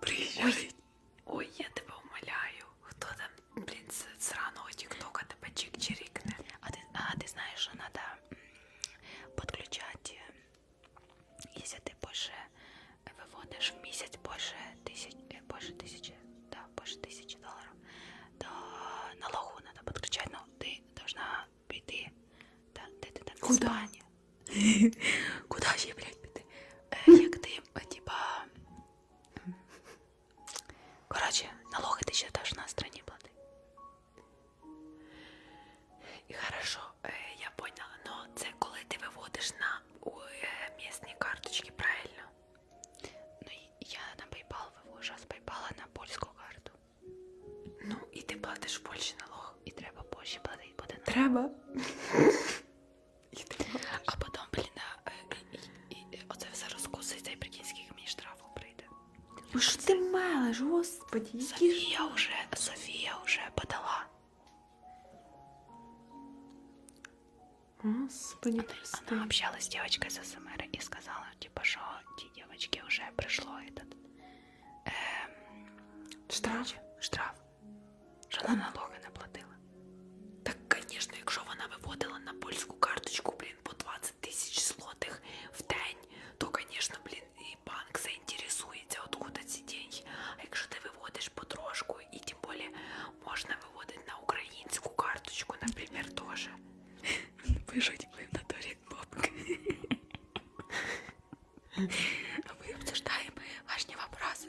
Приїжджають. Ой, я тебе умоляю. Хто там, блін, з сраного тіктока тебе чик-чирикне. А ти, а ти знаєш, що надо подключати, э, якщо ти більше виводиш в місяць більше тисяч, э, більше тисячі, да, більше тисячі доларів, то налогу надо підключати, ну, ти должна піти, да, де ти там в Іспанії. Куда же я, блядь, піти? Як ти, типа. Коротше, налоги ти ще теж на страні плати. І хорошо, э, я поняла, но це коли ти виводиш на місні карточки, правильно? Ну, я на PayPal вивожу, а з PayPal на польську карту. Ну, і ти платиш в Польщі налог, і треба Польщі платити буде. Треба. А потом, блін, а, э, оце все розкуситься і прикинь, скільки мені штрафу прийде. Ну що ти мелиш, господі? Софія вже, Софія вже подала. Господи, она, она общалась с девочкой с СМР и сказала, типа, что те девочки уже пришло этот... Эм, штраф? Штраф що вона налоги не платила. Так, звісно, якщо вона виводила на польську карточку, блін, по 20 тисяч злотих в день, то, звісно, блін, і банк заінтересується, откуда ці деньги. А якщо ти виводиш потрошку, і тим більше можна виводити на українську карточку, наприклад, теж. Пишуть ви в натурі бабки. Мы а обсуждаем важные вопросы.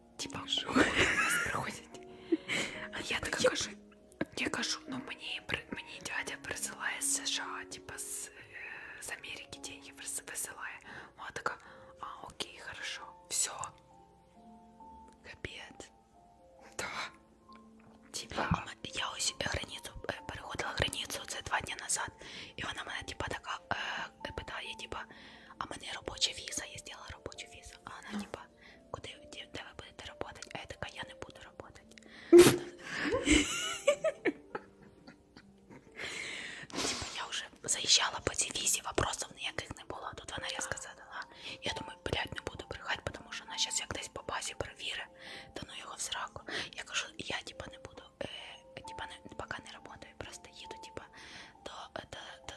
Типа, вы нас проходите. А я так кажу, я кажу, ну мне, мне дядя присылає з США, типа з, з э, Америки деньги присилає. Вона ну, така, а окей, хорошо, все. Капец. Да. Типа, я ось границю, э, переходила границю це два дні назад, і вона мене типа така, э, питає, типа, а мене робоча віза, я зробила робочу візу. А вона no. типа, куди де ви будете працювати? А я така, я не буду працювати. Типа я вже заїжджала по цій візі, вопросів ніяких не було. Тут вона різко задала. Я думаю, блядь, не буду брехати, тому що вона зараз як десь по базі перевірить, та ну його в сраку. Я кажу, я типа не буду, е, типа не поки не працюю, просто їду, типа, до, до,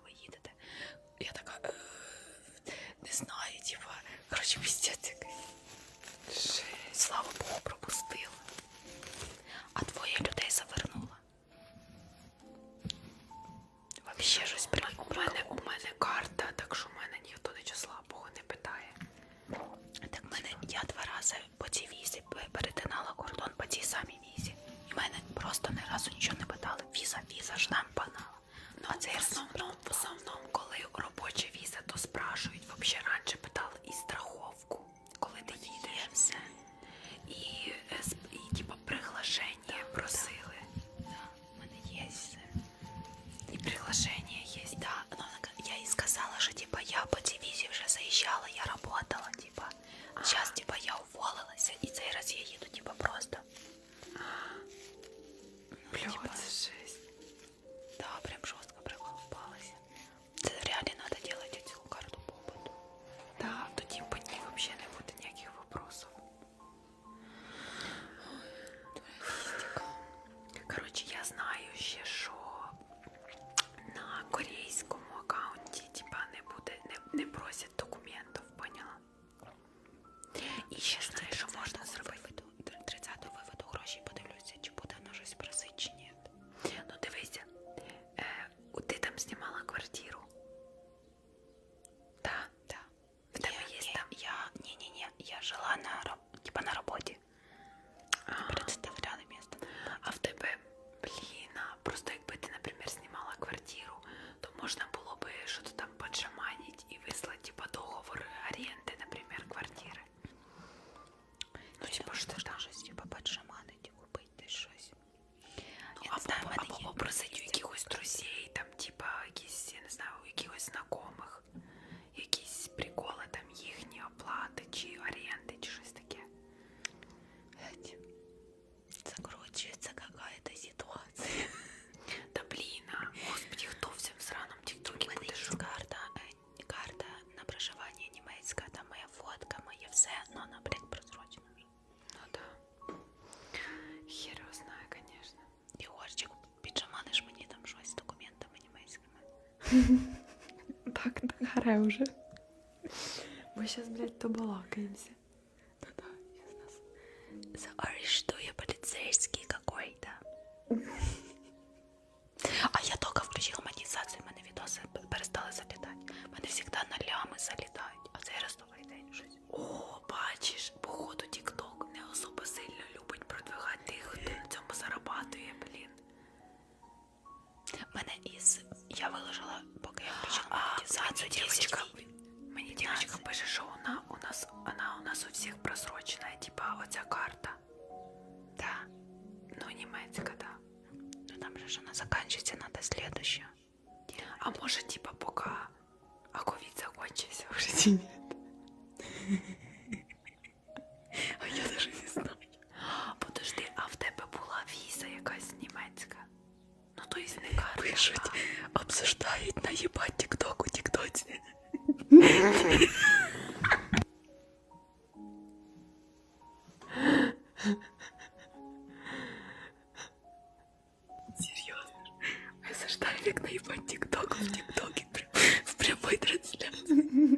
коли їдете. Я така е -е, не знаю, діва. Коротше, пістець який. Слава Богу, пропустила. А двоє людей завернула. Вообще щось прикольно. У мене, у мене карта, так що в мене ніхто нічого слабого не питає. Так мене я два рази по цій разі перетинала кордон по цій самій візі. І мене просто не разу нічого не питали. Віза, віза ж нам банала. Ну а це в основному, в основному, коли робоча віза, то спрашують. Взагалі раніше питали і страховку, коли ти їдеш. Все. І, е, і типу, приглашення да, просили. Да. Да. У мене є все. І приглашення є. Да. Ну, я їй сказала, що типу, я по цій візі вже заїжджала, я працювала. Типу. Сейчас, типа, я уволилася і цей раз я їду, типа, просто. Ну, типа, жесть. Да, прям жестко проколупалась. Це реально надо делать эту карту по опыту. Да, тоді по типа, ній вообще не буде ніяких вопросов. Коротше, я знаю ще, що на корейському аккаунті типа не буде, не, не просять 70 документов, поняла? І ще знаю, що можна зробити 30-го виводу гроші, подивлюся, чи буде воно щось просить, чи ні. Ну дивися, е, э, ти там знімала квартиру. Так, да, так. Да. В тебе є там? Я, ні-ні-ні, я жила на, типа, на роботі. А. Представляли місто. А в тебе, блін, а Просто якби ти, наприклад, знімала квартиру, то можна було би щось там поджаманити і вислати типа, договор оренди, наприклад, квартири. Ну, типа, що там? щось типа поджаманити, купити щось. Ну, я або, не знаю, або, або просити у якихось друзей, там, типа, якісь, я не знаю, у якихось знайомих, якісь приколи там їхні оплати чи оренди, чи щось таке. Геть закручивается какая-то ситуация. Да блин, а, господи, кто в всем сраном тиктоке подышит? карта, э, карта на проживание немецкая, там моя фотка, моя все, но она, блин, просрочена уже. Ну да. Хер его знаю, конечно. Егорчик, піджаманиш мені там щось з документами німецькими. Так, так, уже. Мы сейчас, блядь, то балакаемся. Да-да, я знаю. Sorry, что я полицейский какой-то. А я только включила монетизацію, в мене відоси перестали залітати. В мене завжди на лями залітають, а цей раз добрий день щось. О, бачиш, походу Тік-Ток не особо сильно любить продвигати тих, хто на цьому зарабатує, блін. В мене із Я выложила, пока я включила монетизацию, девочка. Мені девочка пише, що вона у нас, вона у нас у всіх просрочена, типа оця карта. Да. Ну, німецька, да. Ну там же ж вона закінчиться, надо следующую. А може, типа, пока а ковід закончився в житті нет. А я даже не знаю. Подожди, а в тебе була віза якась німецька? Ну то есть не карта. Пишуть, обсуждають, наїбать тік-ток у тік-тоці. Серьезно? Осаждаю, как наебать тикток в тиктоке в прямой трансляции.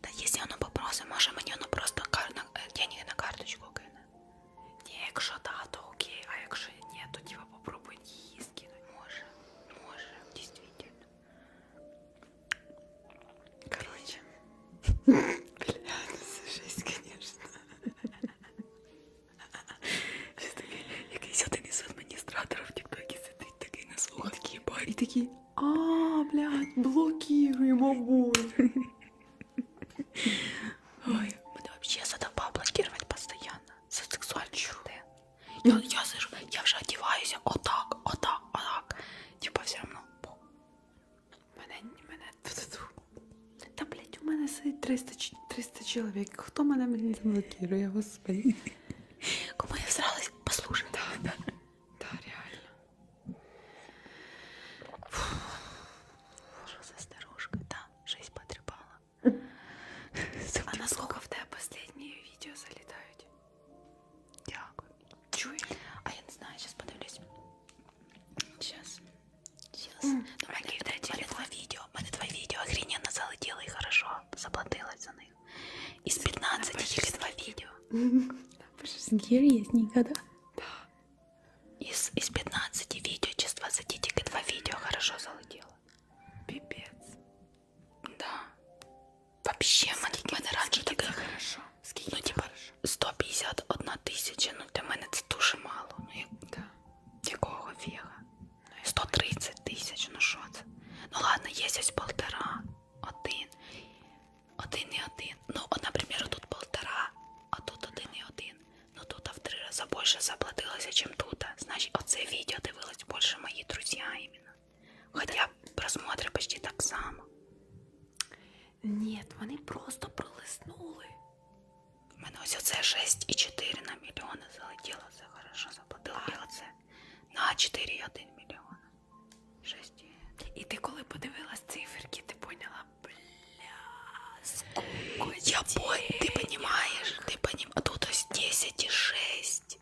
Та якщо воно попросить, може мені ну, воно просто на, э, деньги на карточку кине. Ні, якщо да, то окей, а якщо ні, то типа попробуй її скинути. Може, може, дійсно. Короче. Бля, ну це жесть, конечно. Якийсь один із адміністраторів тіктокі сидить такий на слухах, такий барі такий. А, блядь, блокируем обоих. Ой, мы вообще задолба блокировать постоянно. За сексуальный контент. Я, я, слышу, я вже одіваюся отак, отак, отак. Типа все равно. Мене, мене, Та, блядь, у мене сидить 300, 300 чоловік. Хто мене мені заблокирує, господи. Кому я всралась, послушай. Да, да, да, реально. Фу, что за старушка? Да, жизнь потрепала. А на сколько в тебе последнее видео залетають? Дякую. Чую. А я не знаю, сейчас подивлюсь. Сейчас. Сейчас. Mm. Дорогие, дай телефон. Видео. Мене твоє відео охрененно залетіло і хорошо. Заплатилась за них. Из 15 тільки два відео. Напиши, с Гир есть никогда. Да. Из, из 15 видео, через 20 только 2 видео хорошо залетело. Пипец. Да. Вообще, скільки, мене раніше таке хорошо. Скільки ну, типа, 151 тисяча, ну для мене це дуже мало. Ну, як... да. Якого фіга? 130 тисяч, ну що це? Ну, ну ладно, є ось полтора, один один і один. Ну, от, а, наприклад, тут полтора, а тут один і один. Ну тут в три рази більше заплатилося, ніж а тут. Значить, оце відео дивились більше мої друзі іменно. Хоча просмотри почти так само. Ні, вони просто пролиснули. У мене ось оце 6,4 на мільйони залетіло, а. це хорошо заплатила. А. І оце на 4,1 мільйона. Шесті. І ти коли подивилась циферки, ти поняла, бля, Я пон... ти понімаєш, ти понім... а тут ось 10 і 6.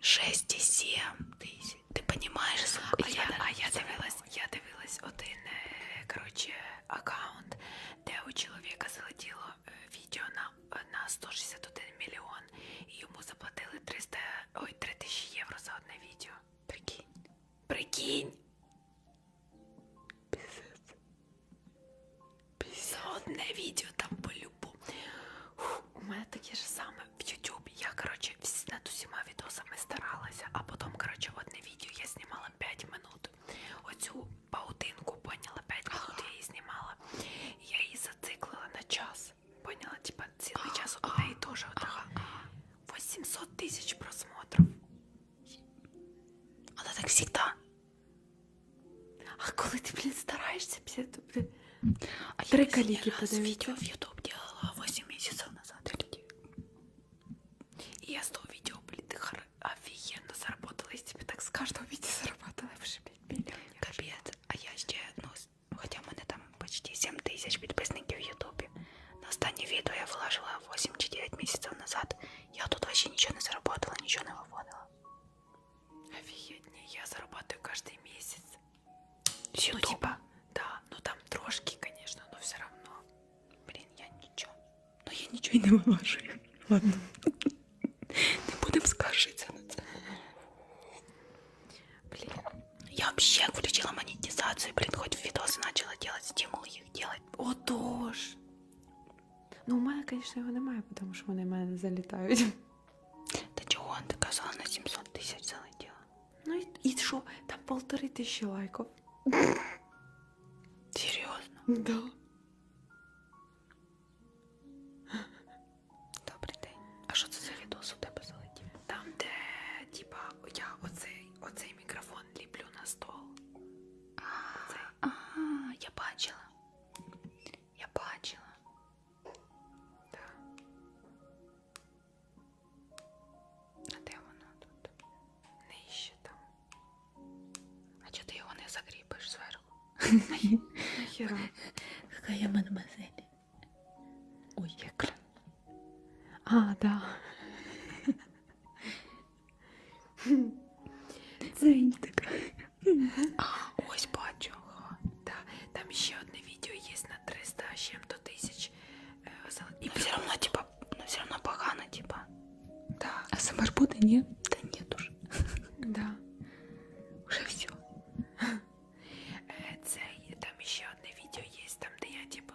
6 і 7 тисяч. Ти понімаєш, а я, я, а я дивилась, я дивилась один, э, короче, аккаунт, де у чоловіка залетіло э, відео на, на 161 мільйон, і йому заплатили 300, ой, 3000 євро за одне відео. Прикинь. Прикинь. Пісець. За одне відео там по-любому. У мене таке ж саме в Ютубі. Я, коротше, над усіма відосами старалася, а потім, коротше, в одне відео я знімала 5 минут. Оцю паутинку поняла 5 минут, я її знімала. Я її зациклила на час. Поняла, типа цілий час у неї теж отака. 800 тысяч просмотров. Она так всегда. А коли ты, блин, стараешься, то, блин. А Три коллеги подавить. видео в YouTube делала 8 месяцев назад. Прикинь. И я с того видео, блин, ты хор... офигенно заработала. Я тебе так с каждого видео заработала. Вообще, блин, миллион. Капец. А я ще, ну, ну, хотя мене там почти 7 тисяч підписників в Ютубі. На останнє відео я вложила 8 чи 9 місяців назад. Я тут вообще нічого не заработала, нічого не виводила. Офігеть, я зарабатываю кожен місяць. Ну, типа, да, ну там трошки, конечно, но все равно. Блін, я нічого. Ну я нічого і не виложу. Ладно. Не будемо скаржитися на це. Блін. Я вообще включила монетизацию, блин, хоть в видосы начала делать, стимул їх делать. Отож. Ну, у мене, звісно, його немає, тому що вони в мене залітають. Та чого он доказала на 700 тисяч залетіла? Ну і, і що? Там полтори тисячі лайків. Серйозно? Да. Добрий день. А що це за відос у тебе залетів? Там, де, типа, я оцей, оцей цей мікрофон ліплю на стол. А, а, а, я бачила. Я бачила. Да. А де воно тут? Нижче там. А чого ти його не закріпиш зверху? Хай я мадемуазель. Ой, як а, да. Дзень така. А, ось бачу. Да. Там ще одне відео є на 300 з чим-то тисяч. І ну, все равно, типа, ну все равно погано, типа. Да. А СМР буде, ні? Да нет уже. Да. Уже все. Це там ще одне відео є, там де я типу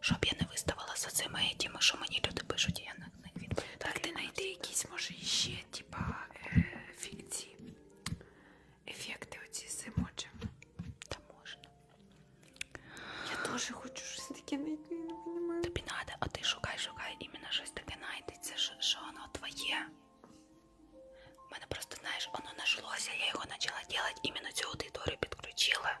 щоб я не виставала за цими етіми, а що мені люди пишуть, і я на них відповідаю. Так ти знайди якісь, може, ще, типа, е фікції, ефекти оці з емоджами. Та можна. Я теж хочу щось таке знайти, я не розумію. Тобі треба, а ти шукай, шукай, іменно щось таке знайдеться, що воно твоє. У мене просто, знаєш, воно нашлося, я його почала робити, іменно цю аудиторію підключила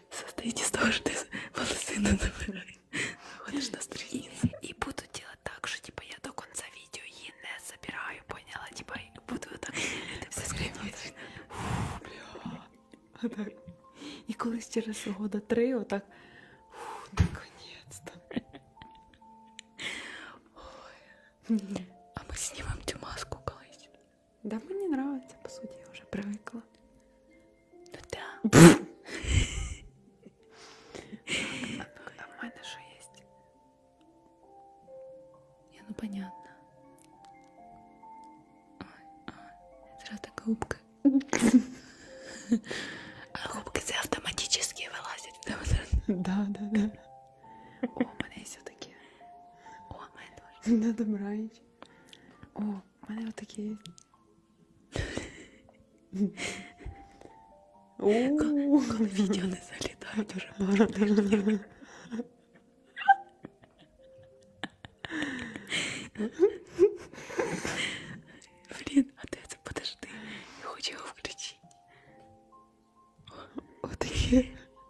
состоит из того, что ты волосы называешь, ходишь на страницу. И буду делать так, что типа я до конца видео и не собираю, поняла? Типа и буду вот так это все скривити. бля. Отак. І колись через года три отак. Наконец-то. Ой. А ми знімемо цю маску колись. Да мне нравится, по сути, я уже привыкла. Ну да. А в мене що є? Я ну понятно. Ой, ой. Зразу така губка. А губки це автоматически вилазять. Да, да, да. О, у мене є все таке. О, у мене теж. Да, добраніч. О, в мене отакі є. Коли відео не залітають уже пару тижнів. Блін, а ти це подожди. Я хочу його включити. Отакі.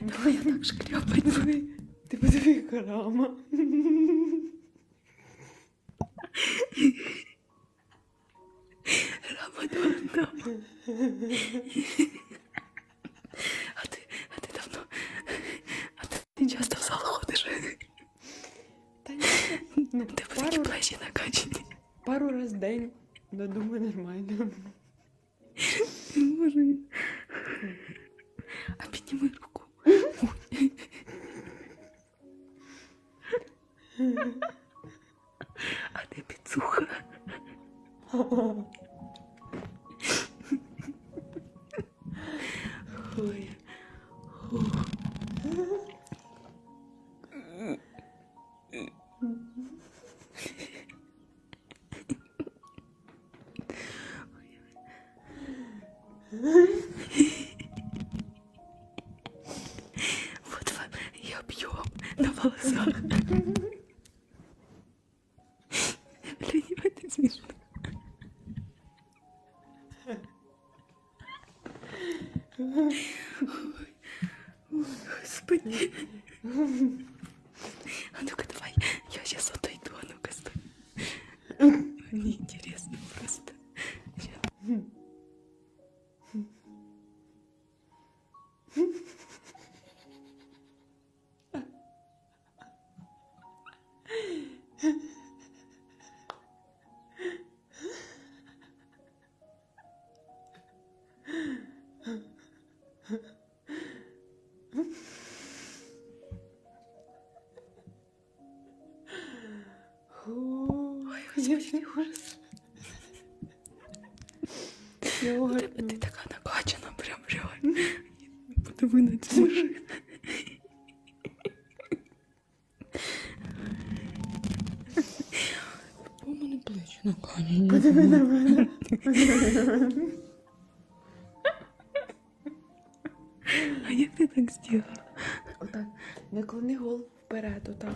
Давай я так шкрябать. Ти подиви карама. Рама дама. А ти, а ти давно. А ти часто в зал ходиш. Та ні. Ну, ти пару... плечі накачані. Пару раз в день. Да думаю, нормально. Боже. Обними руку. А ты пицуха. Ой. Вот вам и объем на волосах. Блин, это смешно. Ой, господи. А ну-ка давай, я сейчас отойду, а ну-ка стой. Мне интересно просто. Huh? Ой, господи, який ужас. Я Ну, ти, ти така накачана, прям реально. Подиви на цю машину. У мене плечі накані. Подиви на мене. А як ти так зробила? Отак. Наклони голову вперед, отак.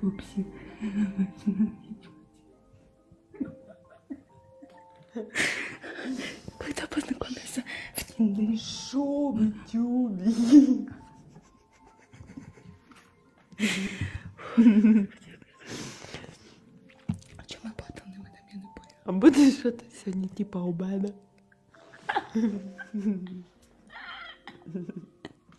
Пупси. Когда познакомился в Тиндере? Шо в Тюбе? О а чем мы потом на этом я не поняла. А будет что-то сегодня типа обеда?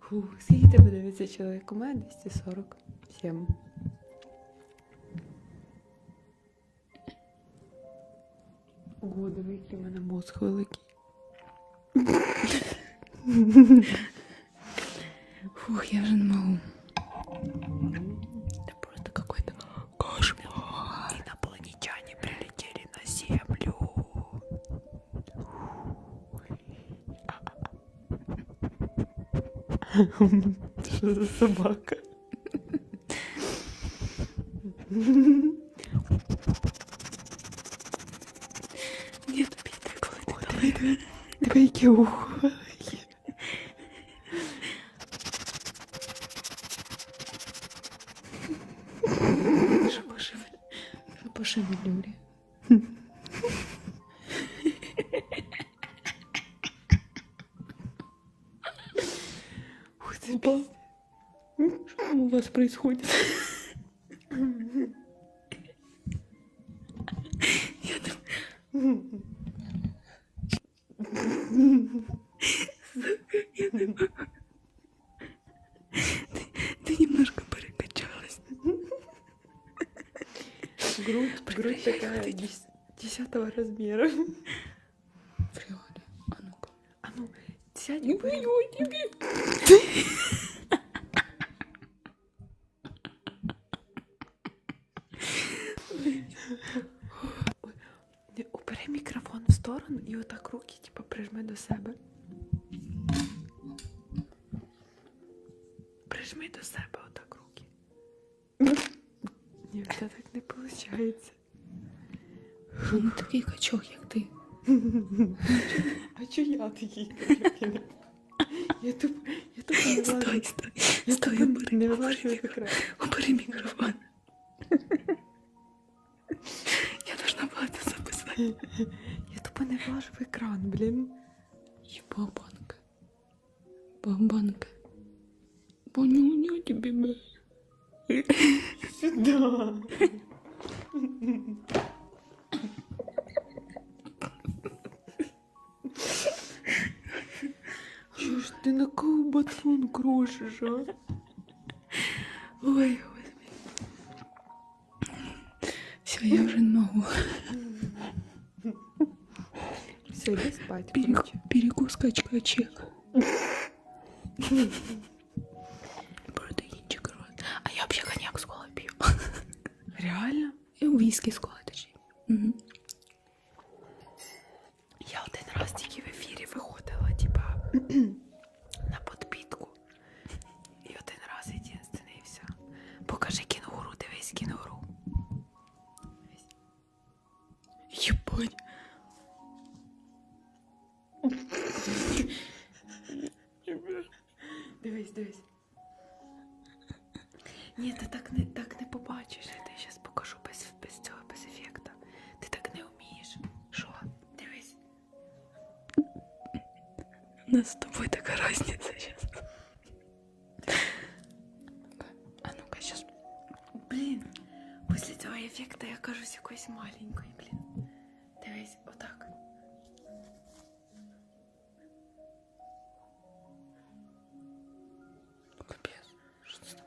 Фу, скільки тебе дивиться чоловік? У мене 247. Ого, диви, який в мене мозг великий. Фух, я вже не можу. Это просто какой-то кошмар. Инопланетяне прилетели на Землю. Что за собака? Нет, давай, давай, давай, давай, давай, по шевелюре. Ух ты, Ба. Что там у вас происходит? Я там... Ты, ты немножко перекачалась. Грудь, грудь такая дес, десятого размера. Фриоля, а ну-ка. А ну, сядь. Не пою тебе. Опери мікрофон в сторону і отак руки типу, прижми до себе. Прижми до себе отак руки. Ні, це так не виходить. Він такий качок, як ти. А чого я такий качок? Я тут я тут не Стой, стой, стой, обери мікрофон. Обери мікрофон. Я должна была это записать. Я тупо не влажу в экран, блин. Ебабанка. Бабанка. Понюня тебе, бля. Сюда. Чё ж ты на кого батон крошишь, а? Ой, господи. Все, я уже не могу. Все, иди спать. Перек... Перекус качкачек. Протеинчик рот. А я вообще коньяк с колой пью. Реально? И э, виски с колой, точнее. Угу. Я типа, один раз тільки в ефірі виходила, типа на подпітку. І один раз єдинственний і все. Покажи кінгуру, дивись кінгуру. Єбать. Дивись, дивись. Ні, ти так не так не побачиш. Я тобі зараз покажу без без цього, без ефекта. Ти так не вмієш. Що? Дивись. У нас з тобою така разниця зараз. А ну-ка, сейчас. Блін, після цього ефекту я кажусь якоюсь маленькою, блін. Дивись, отак. Капец, что там?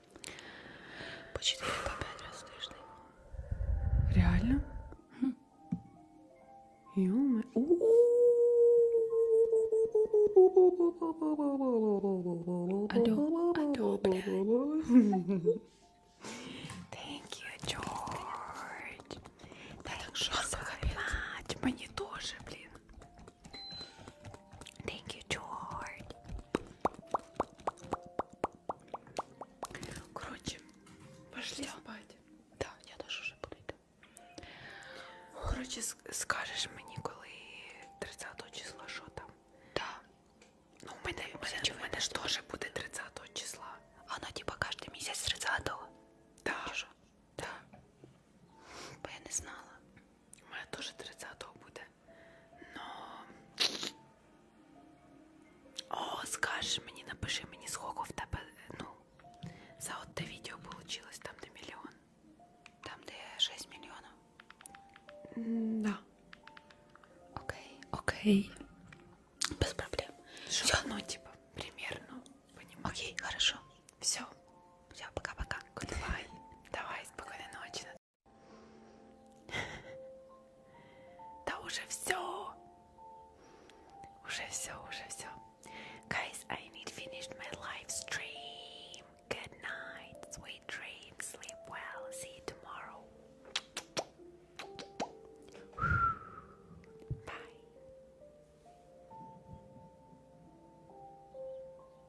По 4 по 5 раз слышно. Реально? Хм. Ё-моё. Алло, алло, блядь. Thank you, George. Да так жарко, капец. Мне тоже, блин. Thank you, Джорд. Короче, пошли Всё. спать. Да, я теж вже буду. Коротше, скажеш мені, коли 30 числа що там? Да. Ну, у мене, у мене, у мене ж теж буде 30 числа. Оно типа кожен місяць 30-го. Да. Чи що? Да. Бо я не знала. У мене теж 30-го буде. Но... О, скажеш мені, напиши мені, сколько в тебе, ну, за одне відео получилось, там де мільйон. Там де 6 мільйонів. Mm, да. Окей, окей. Без проблем. Все, ну, типа, примерно. Понимаешь? Окей, хорошо. Все. Все, пока-пока. Давай. Давай, спокойной ночи, Да уже все. Уже все, уже все. Guys, I need to finish my live stream. Good night, sweet dreams, sleep well, see you tomorrow. Bye.